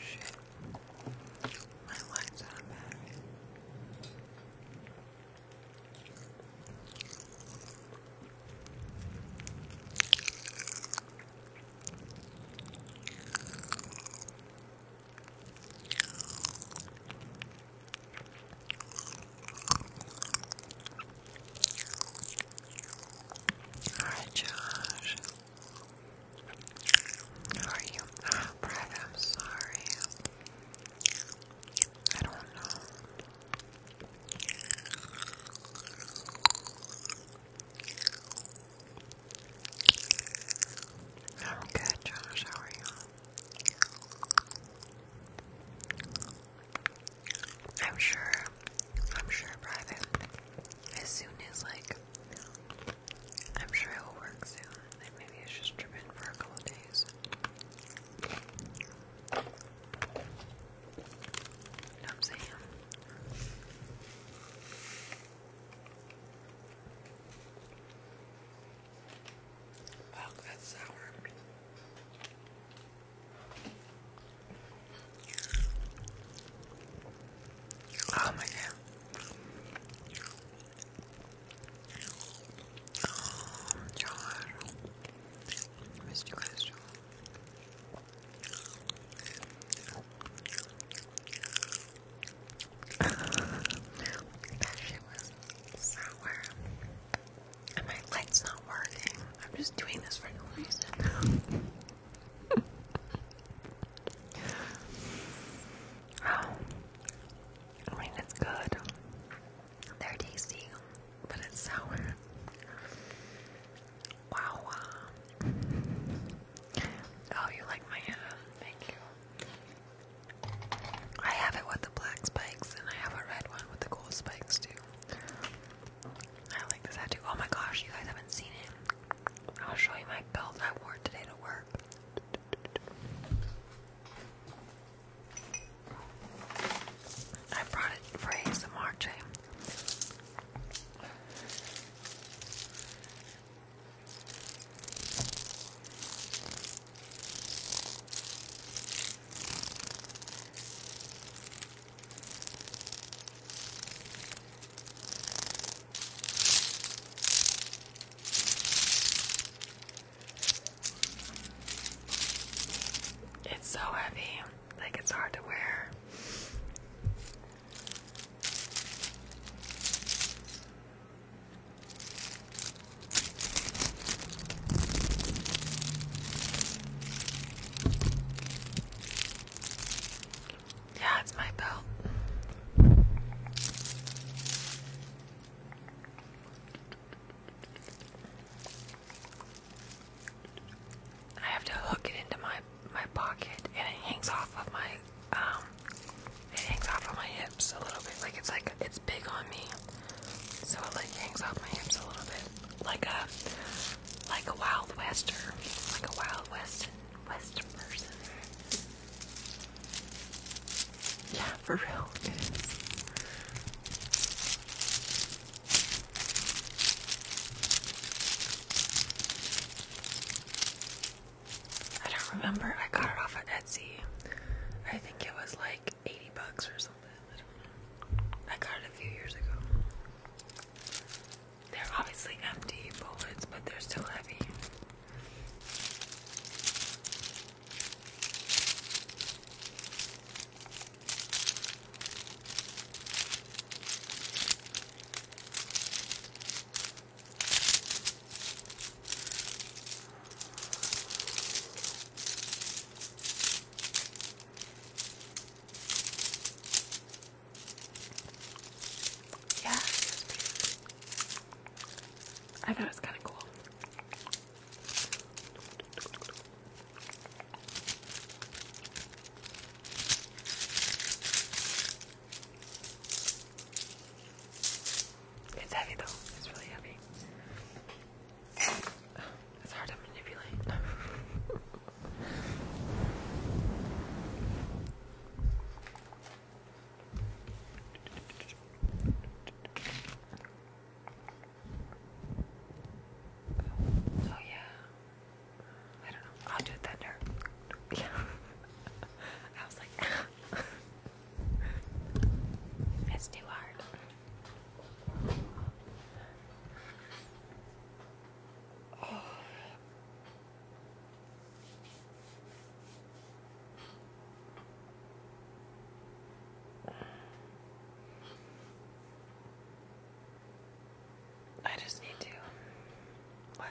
Shit. My legs are bad. All right, Josh are you? Oh, I'm sorry. I don't know. I'm good, Josh. How are you? I'm sure. I'm sure, Brian as soon as like I'm sure it will work soon, maybe it's just dripping for a couple days. what I'm saying? Wow, that's sour. Oh my god. Oh, John. I missed that shit was sour. And my light's not working. I'm just doing this for no reason oh, I mean, it's good. They're tasty, but it's sour. Wow. Oh, you like my uh, Thank you. I have it with the black spikes, and I have a red one with the gold spikes, too. I like this tattoo. Oh my gosh, you guys haven't seen it. I'll show you my belt I wore today to work. I brought it for ASMR, Jay. It's so heavy, like it's hard to wear. Yeah, it's my belt. I have to hook it into my my pocket, and it hangs off of my um, it hangs off of my hips a little bit. Like it's like it's big on me, so it like hangs off my hips a little bit, like a like a wild wester, like a wild west Western Yeah, for real, I don't remember. I got it off of Etsy. I think it was like 80 bucks or something. I got it a few years ago. They're obviously empty bullets, but they're still heavy. Yeah, I thought it was kind of cool. It's heavy though, it's really heavy. It's hard to manipulate. Oh yeah. I don't know. I'll do thunder. Yeah. I was like, that's too hard. Oh. I just need to. What?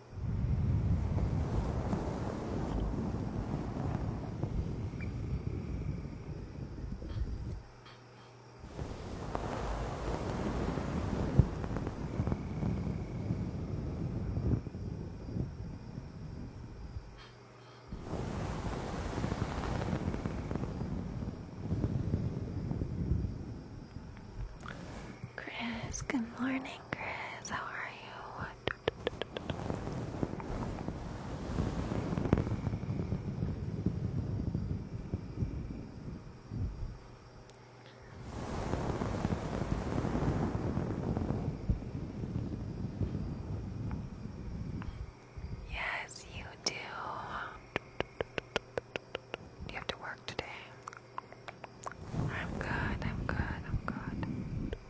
Chris, good morning. Chris. How are you? Yes, you do. Do you have to work today? I'm good, I'm good, I'm good.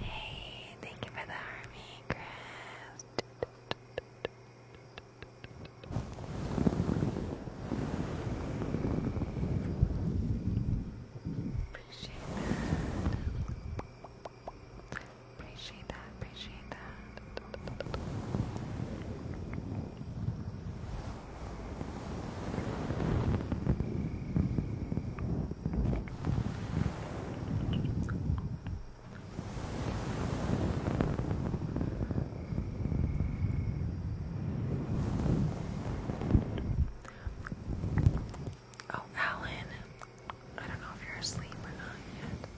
Hey, thank you for the army, Chris. Appreciate that. Appreciate that. Oh, Alan. I don't know if you're asleep or not yet.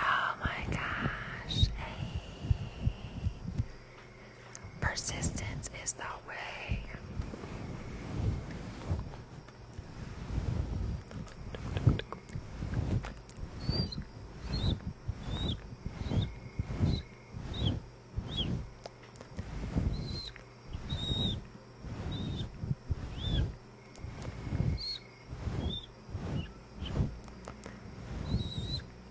Oh my gosh, hey. Persistence is the way.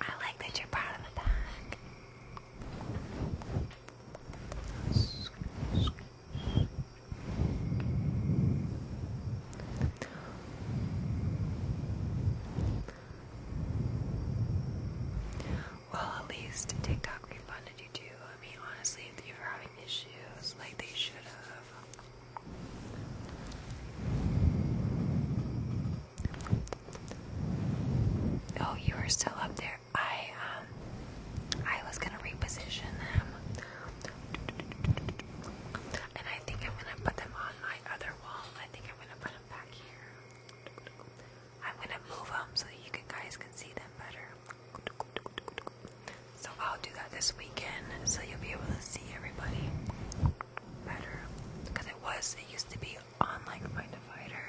I like that you're part of the pack. Well, at least TikTok refunded you too. I mean, honestly, if you were having issues, like they should have. Oh, you are still up there. I um I was gonna reposition them. And I think I'm gonna put them on my other wall. I think I'm gonna put them back here. I'm gonna move them so you guys can see them better. So I'll do that this weekend so you'll be able to see everybody better because it was it used to be on like my divider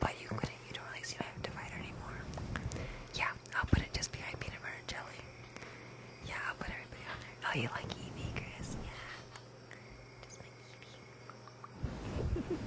but you couldn't you don't really see my divider anymore yeah I'll put it just behind peanut butter and jelly yeah I'll put everybody on oh you like Eevee Chris yeah just like Eevee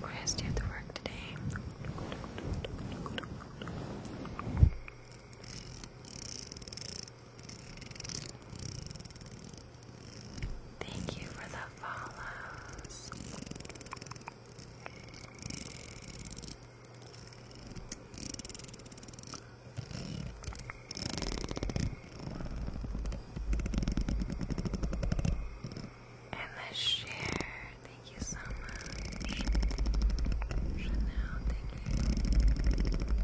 Chris, do you have to work today? Thank you for the follows and the share. Thank you so much. Chanel, thank you.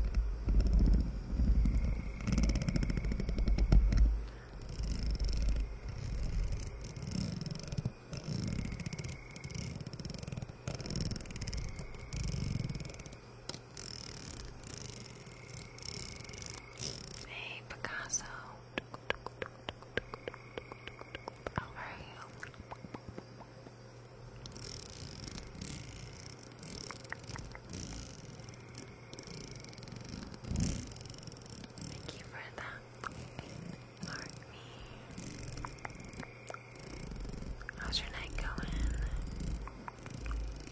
Hey Picasso. All right. Thank you for that. Mark me. How's your night going?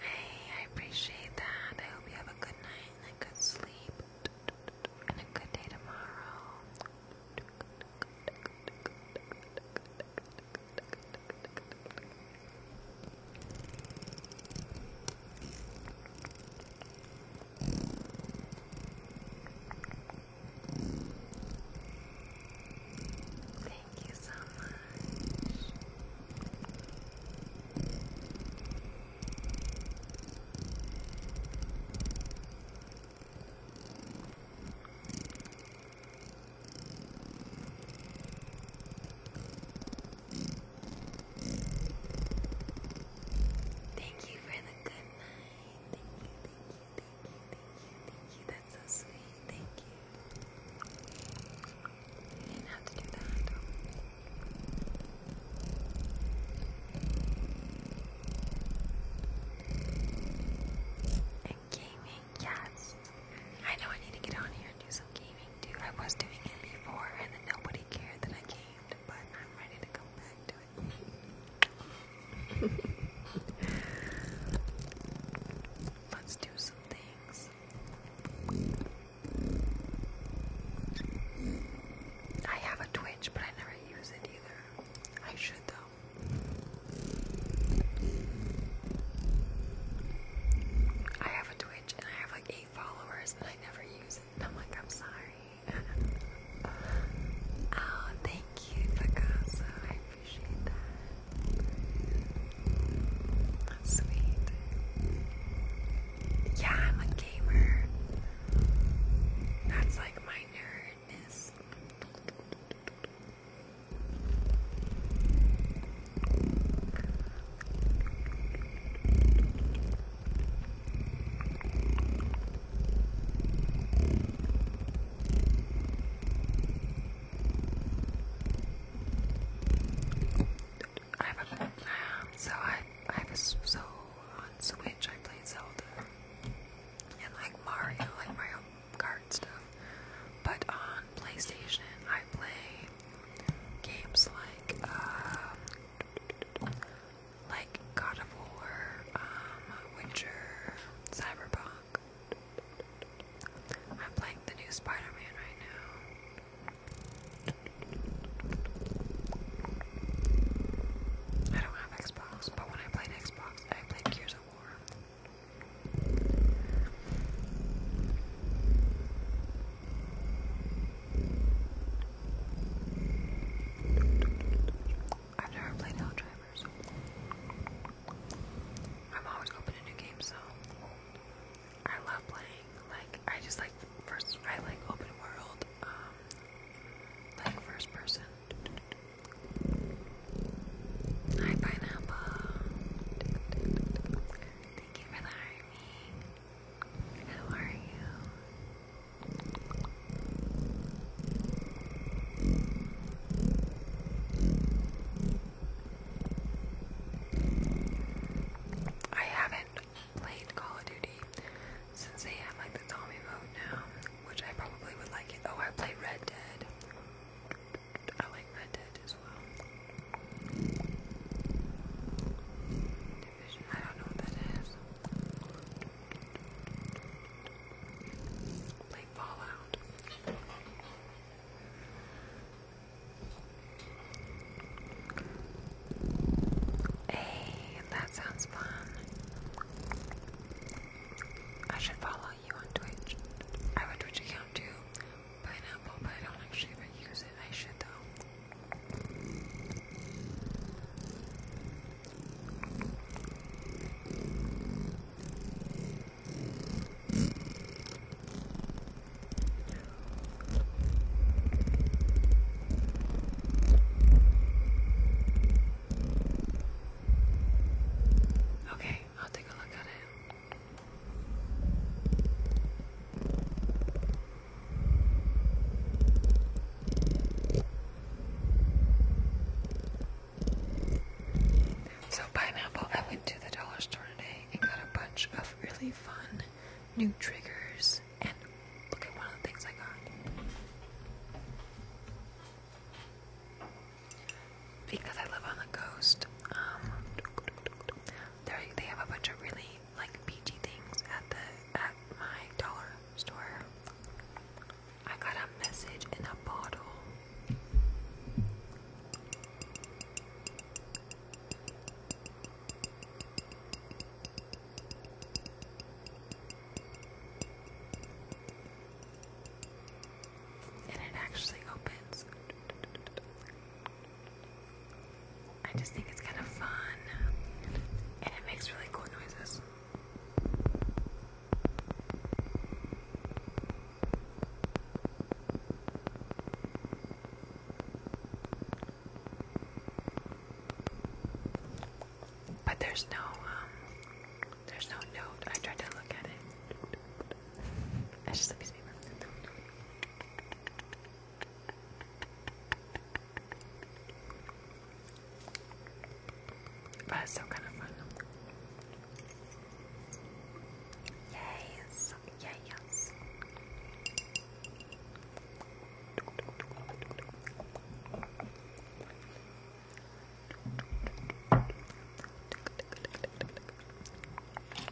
Hey, I appreciate that. I hope you have a good night and a good sleep and a good day tomorrow. Thank you so much. Thank Thank you for the good night. Thank you, thank you, thank you, thank you, thank you. That's so sweet. Thank you. didn't have to do that. And yes. I know I need to get on here and do some gaming too. I was doing it before and then nobody cared that I gamed, but I'm ready to come back to it. Let's do some things. I have a Twitch, but I never use it either. I should though. I have a Twitch and I have like eight followers and I never use it. And I'm like, I'm sorry. oh, thank you, Picasso. I appreciate that. That's sweet. Yeah, I'm a gamer. That's like my nerdness. I have a um, so I I have so on Switch I played Zelda and like Mario like Mario card stuff. But on PlayStation, I play games like, um, like God of War, um, Witcher, Cyberpunk. I'm playing the new Spider-Man right now. I don't have Xbox, but when I played Xbox, I play Gears of War. I've never played Helldivers. I'm always opening new games, so I love playing. Like I just like first. I like open world. Um, like first person. Hi, Pineapple. Thank you for the army. How are you? I haven't played Call of Duty since they have like the Tommy boat now, which I probably would like it. Oh, I play Red Dead. I like that dead as well. Division, I don't know what that is. Like Fallout. Hey, that sounds fun. I should follow you on Twitch. I have a Twitch account too pineapple, but I don't actually ever use it. I should though. Okay, I'll take a look at it. So, pineapple, I went to the dollar store today and got a bunch of really fun new triggers. And look at one of the things I got because I live on the coast. Um, they have a bunch of really like peachy things at the at my dollar store. I got a message in a bottle. And it actually opens I just think it's kind of fun and it makes really cool noises. But there's no um there's no note. I tried to look at it it's just a piece of paper. But it's still kind of fun. Yes, yes.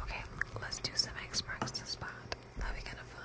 Okay, let's do some X marks the spot. That'll be kind of fun.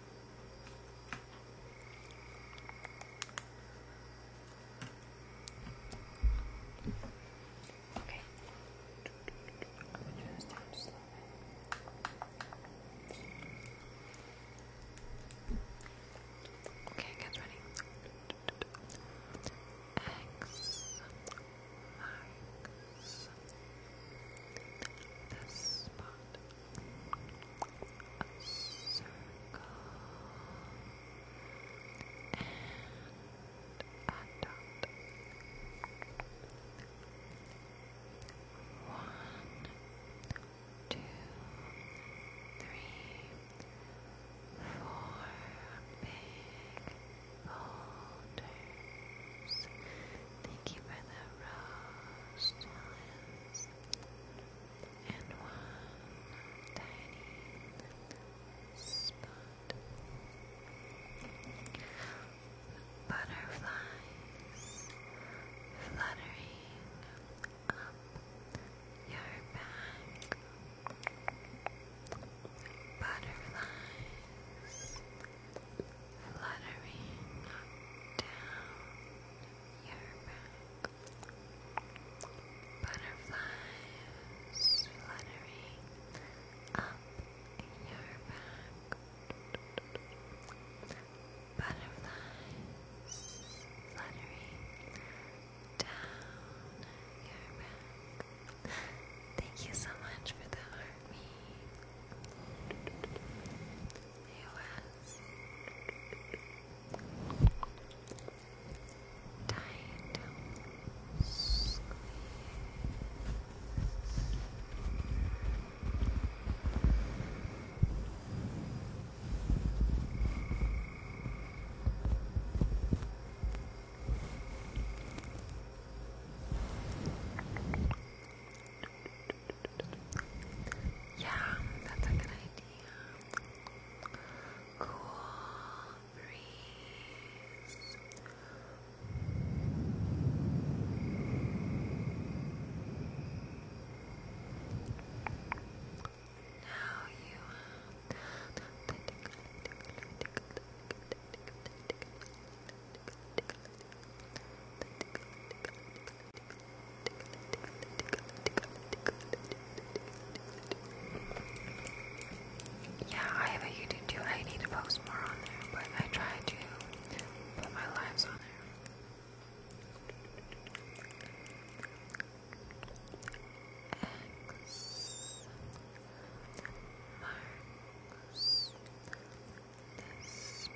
Okay. I'm gonna turn this down just a little bit. Okay, get ready. X marks this spot a circle, and a dot. One, two, three, four big boulders. Thank you for the rose, and one tiny spot. Butterflies fluttering up your back. Butterflies fluttering down you back. Butterflies fluttering up your back. Butterflies fluttering down your back. Thank you so much for the heart U.S. Tight squeeze. Tight yeah, that's a good idea. Cool breeze. Now you yeah, I have a YouTube too. I need to post more on there, but I try to put my lives on there. X marks this spot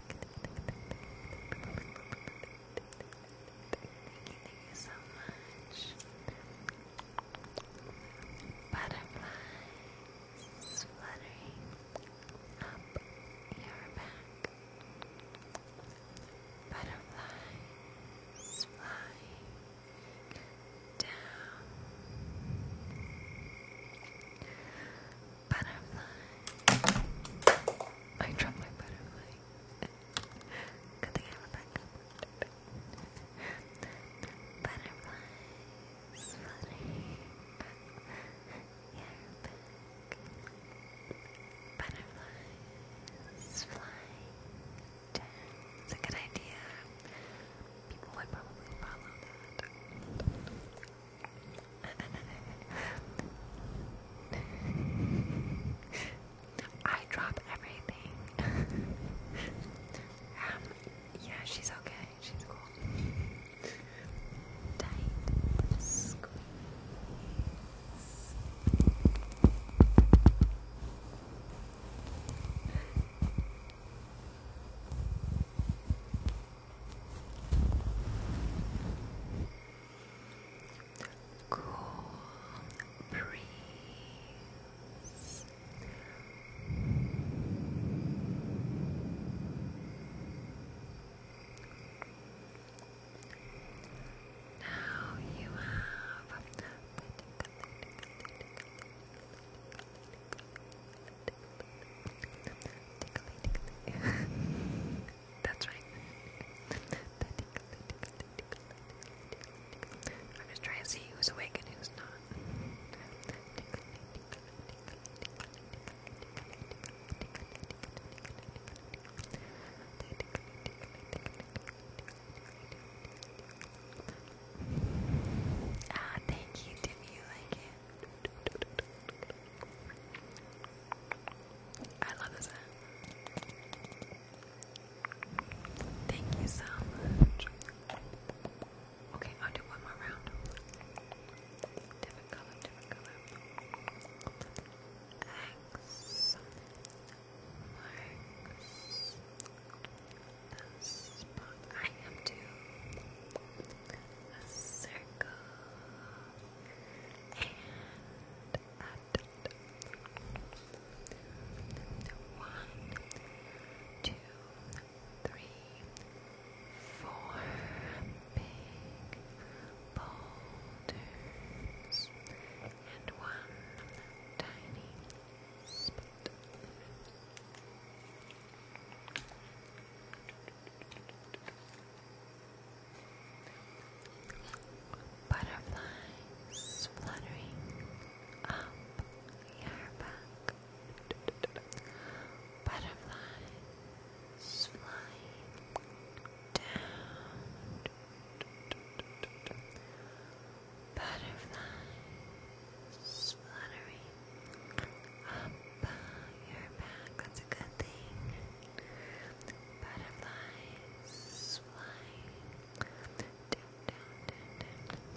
thank you so much. Butterflies fluttering up your back. Butterflies flying down butterfly. I dropped my butterfly. Good thing I have a backup. Butterflies fluttering your back. Butterflies flying It's a good idea. People would probably follow that. I drop everything. Um, yeah, she's okay. She's cool. Cool breeze. Now you have. That's right. I'm just trying to see who's awake and who's not. Ah, thank you, Timmy. You like it? I love this Thank you so Okay, I'll do one more round. Different color, different color. X am to a circle. And add one, two, three, four big boulders and one tiny spot. Butterflies fluttering up your back. Butterflies flying down. Butterflies fluttering up you're back. That's a good thing. Butterflies flying. Down, down, down,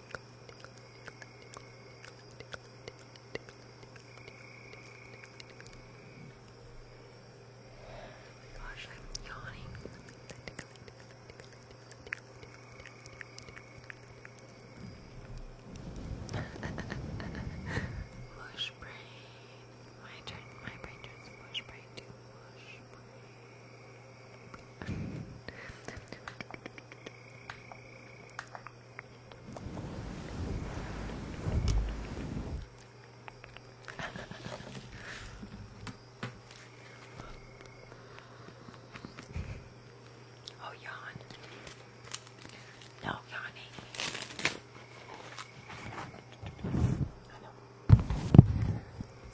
Oh my gosh, I'm yawning. mush brain. My turn. My brain turns mush brain to mush brain oh, yawn. No yawning. I know.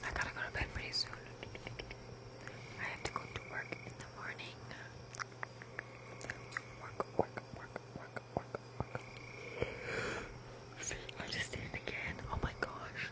I gotta go to bed pretty soon. I have to go to work in the morning. Work, work, work, work, work, work. I just did it again. Oh my gosh.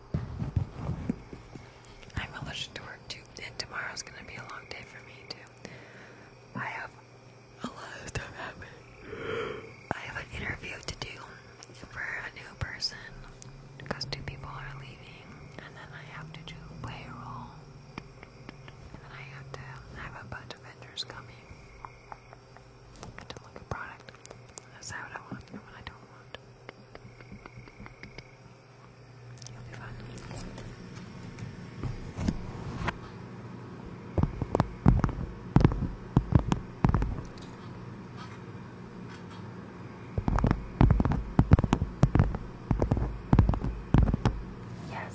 I'm allergic to work too, and tomorrow's gonna be a long day for me too. I have a lot of stuff happening. I have an interview to do for a new person because two people are leaving, and then I have to do payroll, and then I have to have a bunch of vendors coming. I don't product. That's how I want and what I don't want. It'll be fun. Yes,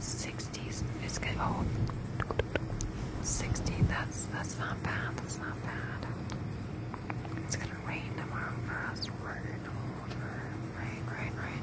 Sixties is good. Oh, 60, that's, that's not bad, that's not bad. It's gonna rain tomorrow for us. rain, rain, rain.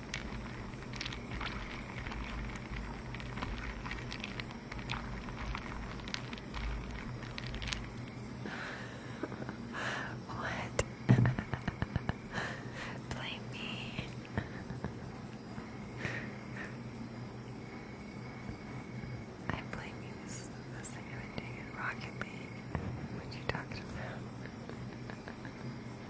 what? Blame me. I blame you. This is the best thing I've been doing in Rocket League. What are you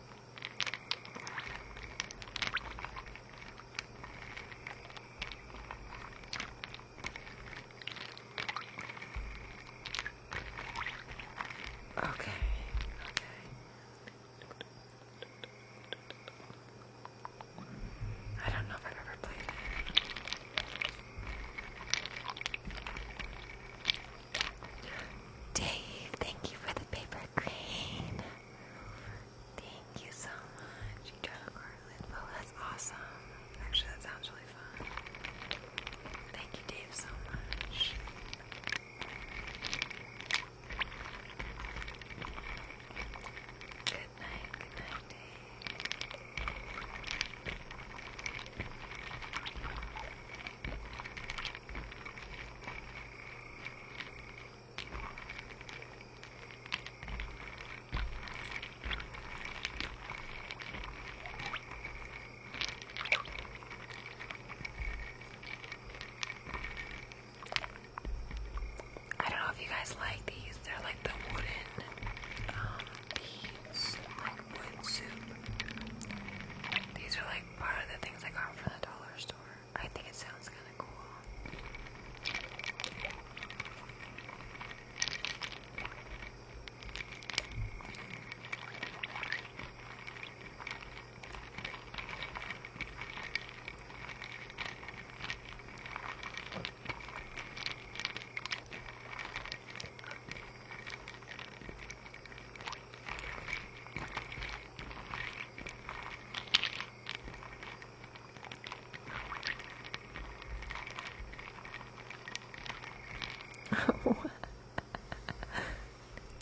Okay. Okay. I don't know if I've ever played it. Dave, thank you for the paper crane. Thank you so much. You tried a garland. Oh, that's awesome. Actually, that sounds really fun. Thank you, Dave, so much. Good night, good night, Dave. I don't know if you guys like these. They're like the wooden um, beads, like wood soup. These are like Part of the things I got from the dollar store. I think it sounds kind of cool.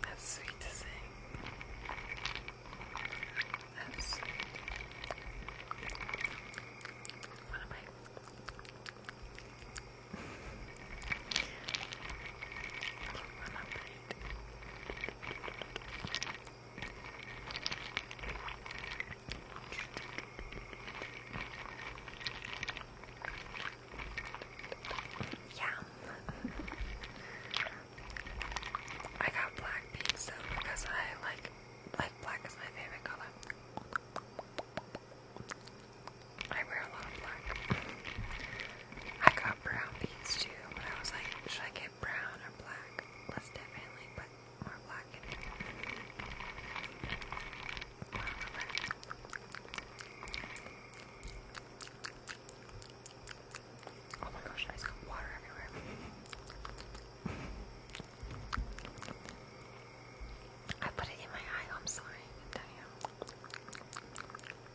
That's sweet to say. That's sweet. What am I? Yeah. I got black beans though because I like like black is my favorite color. I wear a lot of black. I got brown beads too, but I was like, should I get brown or black? Let's definitely more black Oh my gosh, I just got water everywhere. I put it in my eye, I'm sorry. Damn. I'm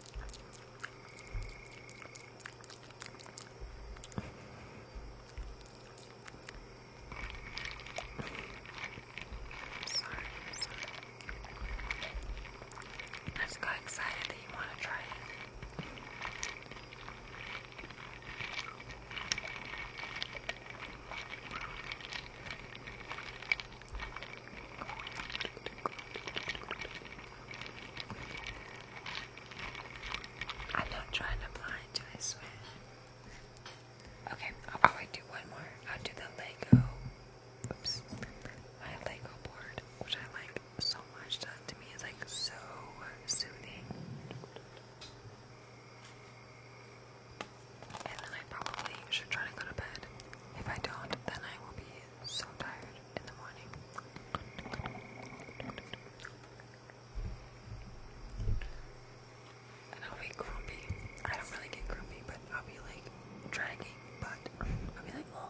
sorry. I just got excited that you want to try it. I'm not trying to blind you, I swear. I'll do one more. i do the Lego. Oops. My Lego board, which I like so much. That to me is like so soothing. And then I probably should try to go to bed. If I don't, then I will be so tired in the morning. I'll be grumpy. I don't really get grumpy, but I'll be like dragging, but I'll be like, oh.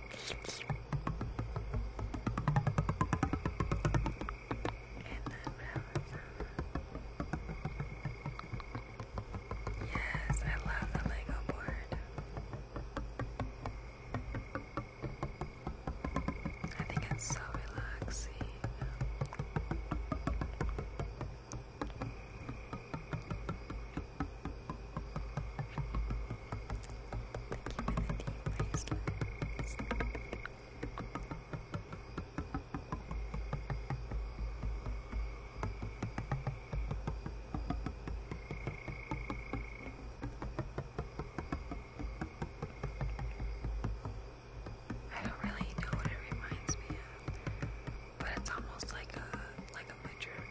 Yes, I love the Lego board. I think it's so relaxing. I don't really know what it reminds me of, but it's almost like a like a metronome,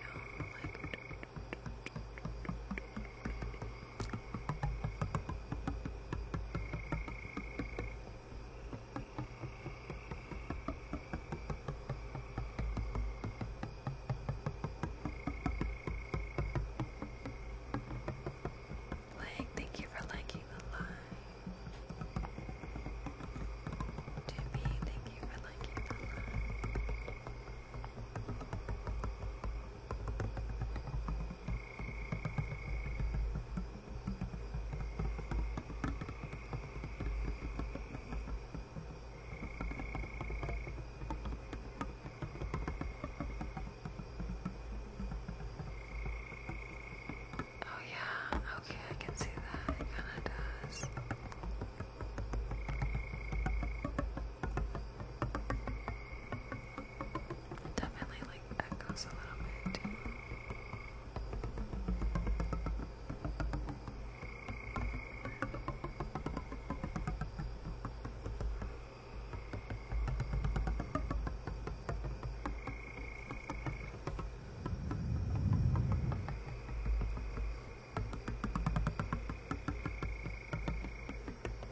Lang, thank you for liking the line. Jimmy, thank you for liking the line. Oh, yeah, okay, I can see that. It kind of does. Definitely like echoes a little bit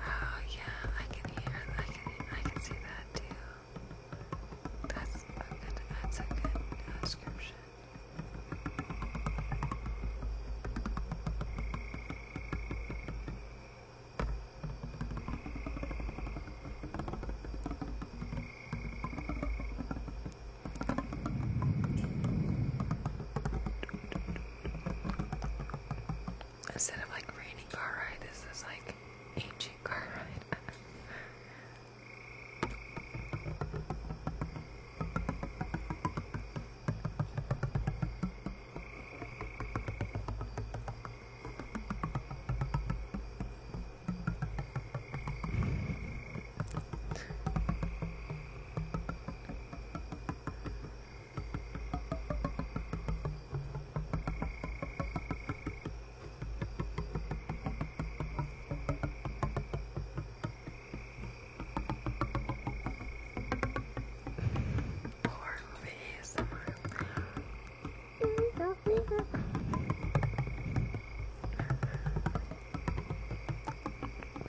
Oh yeah, I can hear I can I can see that too. That's a good that's a good uh, description. Instead of like rainy car ride, this is like ancient car ride. Or maybe ASMR. We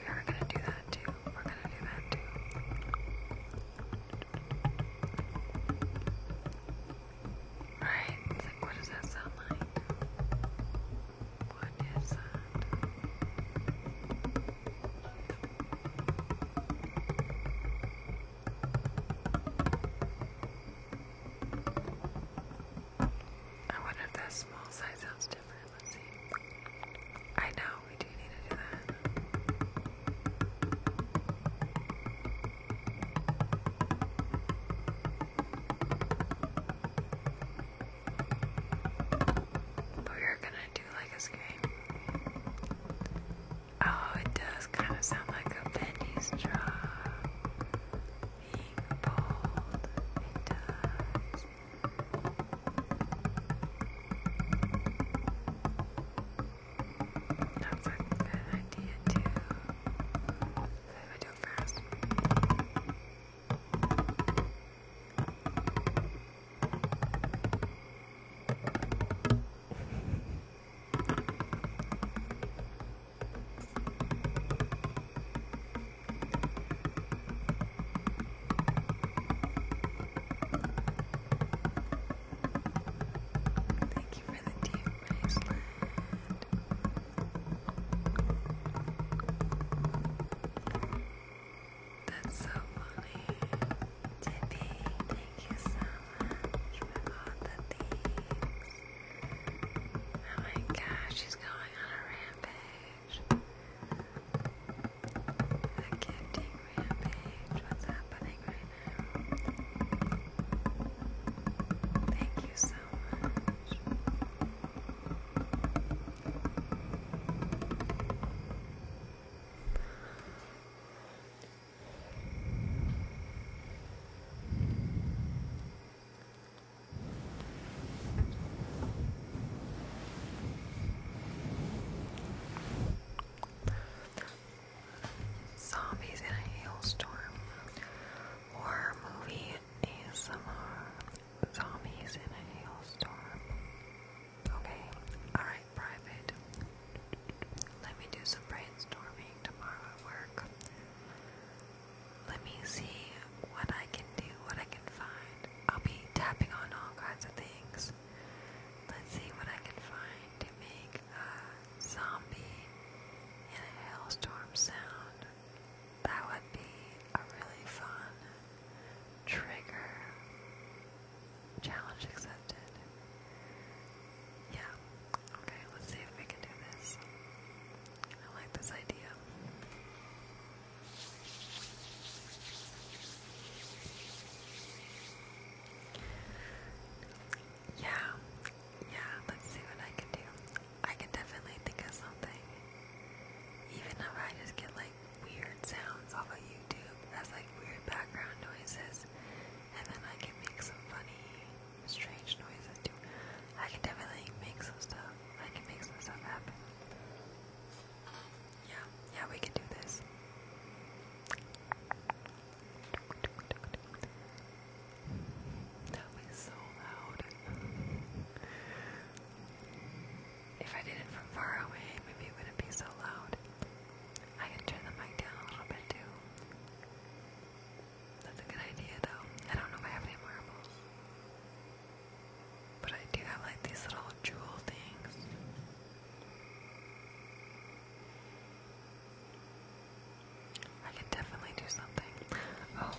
are gonna do that too. We're gonna do that too. Alright, what does that sound like? What is that? I wonder if that small size sounds different. Let's see. I know we do need to do that. we are gonna do like a scream. Oh, it does kind of sound like a penny's drop being pulled. That's a good idea too. So if do it Thank you for the deep bracelet. That's so funny. Tippy, thank Thank you so much for all the thieves. Oh my gosh, she's going on a rampage. A gifting rampage. What's happening right now? Thank you so much. Zombies in a hailstorm. Horror movie ASMR. Zombies in a hailstorm. Okay, alright private. Let me do some brainstorming tomorrow at work. Let me see what I can do, what I can find. I'll be tapping on all kinds of things. Let's see what I can find to make a zombie in a hailstorm sound. That would be a really fun trigger. Challenge accepted. Yeah, Okay, let's see if we can do this. I like this idea. Yeah, yeah, let's see what I can do. I can definitely think of something. Even if I just get like weird sounds off of YouTube as like weird background noises, and then I can make some funny, strange noises too. I can definitely make some stuff. I can make some stuff happen. Yeah, yeah, we can do this. That was so loud. If I did it from far away, maybe it wouldn't be so loud. I can turn the mic down a little bit too. That's a good idea though. I don't know if I have any marbles. But I do have like these little jewel things. I can definitely do something. Oh,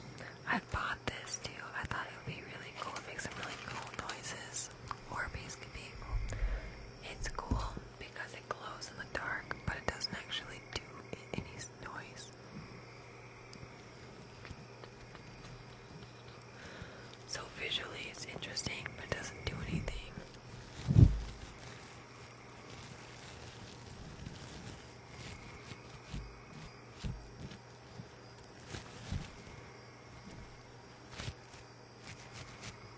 I bought this too. I thought it would be really cool. It makes some really cool noises. Or basically It's cool because it glows in the dark, but it doesn't actually do any noise. So visually it's interesting, but doesn't do anything.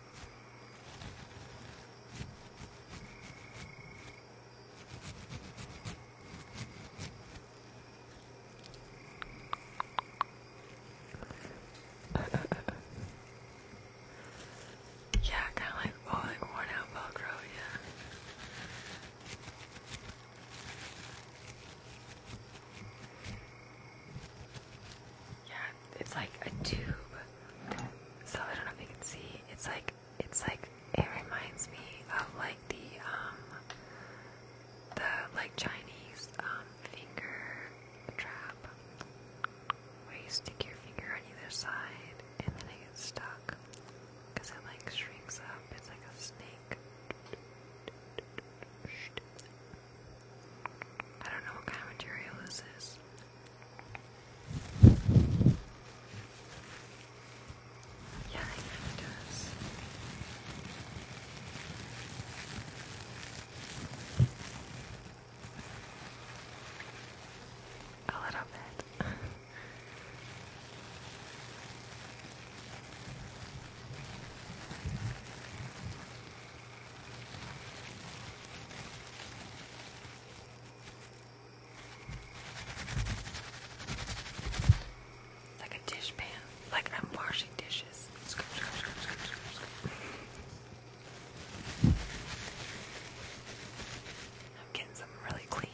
yeah, kind of like, oh, worn out Velcro, yeah. Yeah, it's like a tube. So I don't know if you can see. It's like it's like it reminds me of like the um the like Chinese um finger trap where you stick your finger on either side and then it gets stuck because it like shrinks up. It's like a snake. I don't know what kind of material this is. Yeah, it really does. A little bit. Like a dish Like I'm washing dishes. I'm getting something really clean.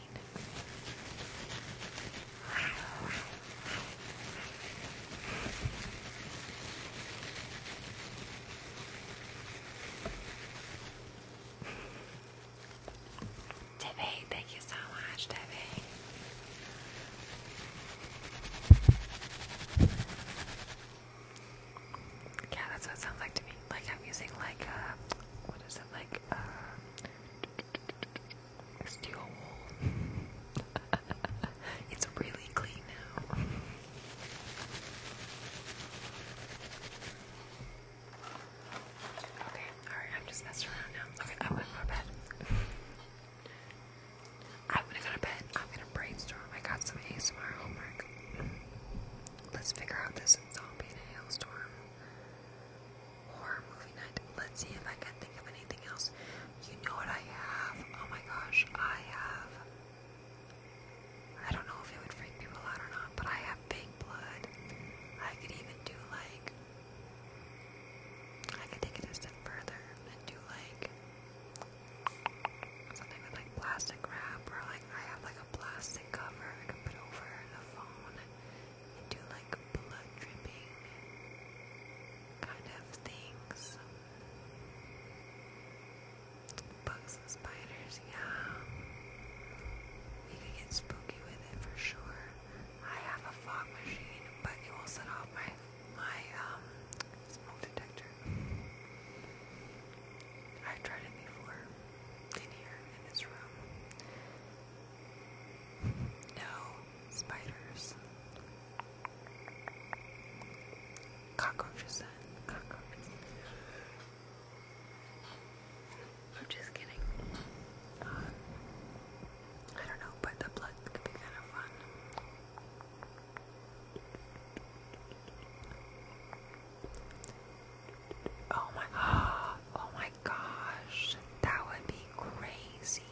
Debbie, thank you so much, Debbie. Yeah, that's what it sounds like to me. Like I'm using like uh, what is it like uh, steel wool. it's really clean now. Okay, alright, I'm just messing around now. Okay, I went to bed. I'm gonna go to bed. I'm gonna brainstorm. I got some ASMR homework. Let's figure out this zombie in a hailstorm. Horror movie night. Let's see if I can think of anything else. You know what I have? Oh my gosh, I have I don't know if it would freak people out or not, but I have big blood. I could even do like I could take it a step further and do like something with like plastic wrap or like I have like a plastic cover I could put over the phone and do like blood dripping kind of things. Bugs and spiders, yeah. You can get spooky with it for sure. I have a fog machine, but it will set off my my um, smoke detector. i tried it before in here in this room. No spiders. Cockroaches then. Cockroaches. I'm just kidding. Uh, I don't know, but the blood could be kind of fun. Oh my, oh my gosh, that would be crazy.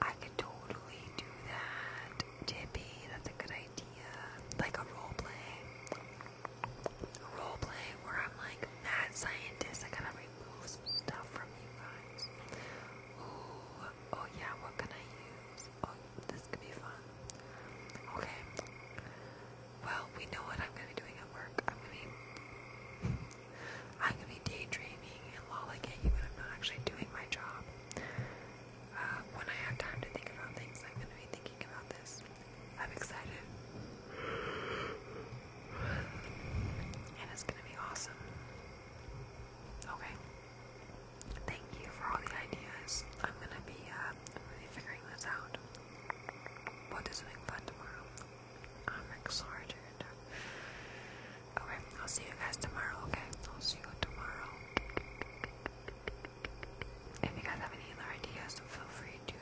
I could totally do that. Tippy, that's a good idea. Like a role play role where I'm like mad scientist. I gotta remove stuff from you guys. oh yeah, what can I use? Oh, this could be fun. Okay. Well, we know what I'm gonna be doing at work. I'm gonna be I'm gonna be daydreaming and lolling at you, and I'm not actually doing my job. Uh, when I have time to think about things, I'm gonna be thinking about this. I'm excited. And it's gonna be awesome. Okay. Thank you for all the ideas. I'm gonna be uh figuring this out. We'll do something fun tomorrow. I'm excited. Okay, I'll see you guys tomorrow, okay? I'll see you tomorrow. If you guys have any other ideas, feel free to,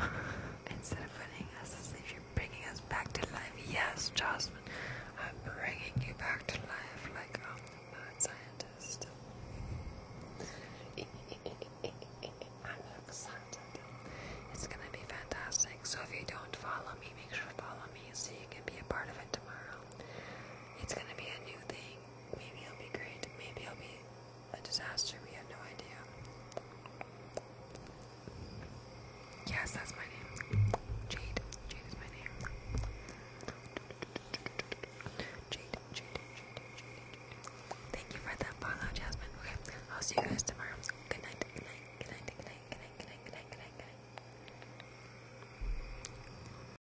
uh, instead of putting us to you're bringing us back to life. Yes, Jasmine, I'm bringing you back to life like I'm the mad scientist. I'm excited. It's gonna be fantastic. So if you don't follow me, make sure to follow me so you can be a part of it tomorrow. It's gonna be a new thing. Maybe he'll be great. Maybe he'll be a disaster. We have no idea. Yes, that's my name. Jade. Jade is my name. Jade, Jade, Jade, Jade, Thank you for that follow, Jasmine. Okay, I'll see you guys tomorrow. good night, good night, good night, good night, good night, good night, good night, good night.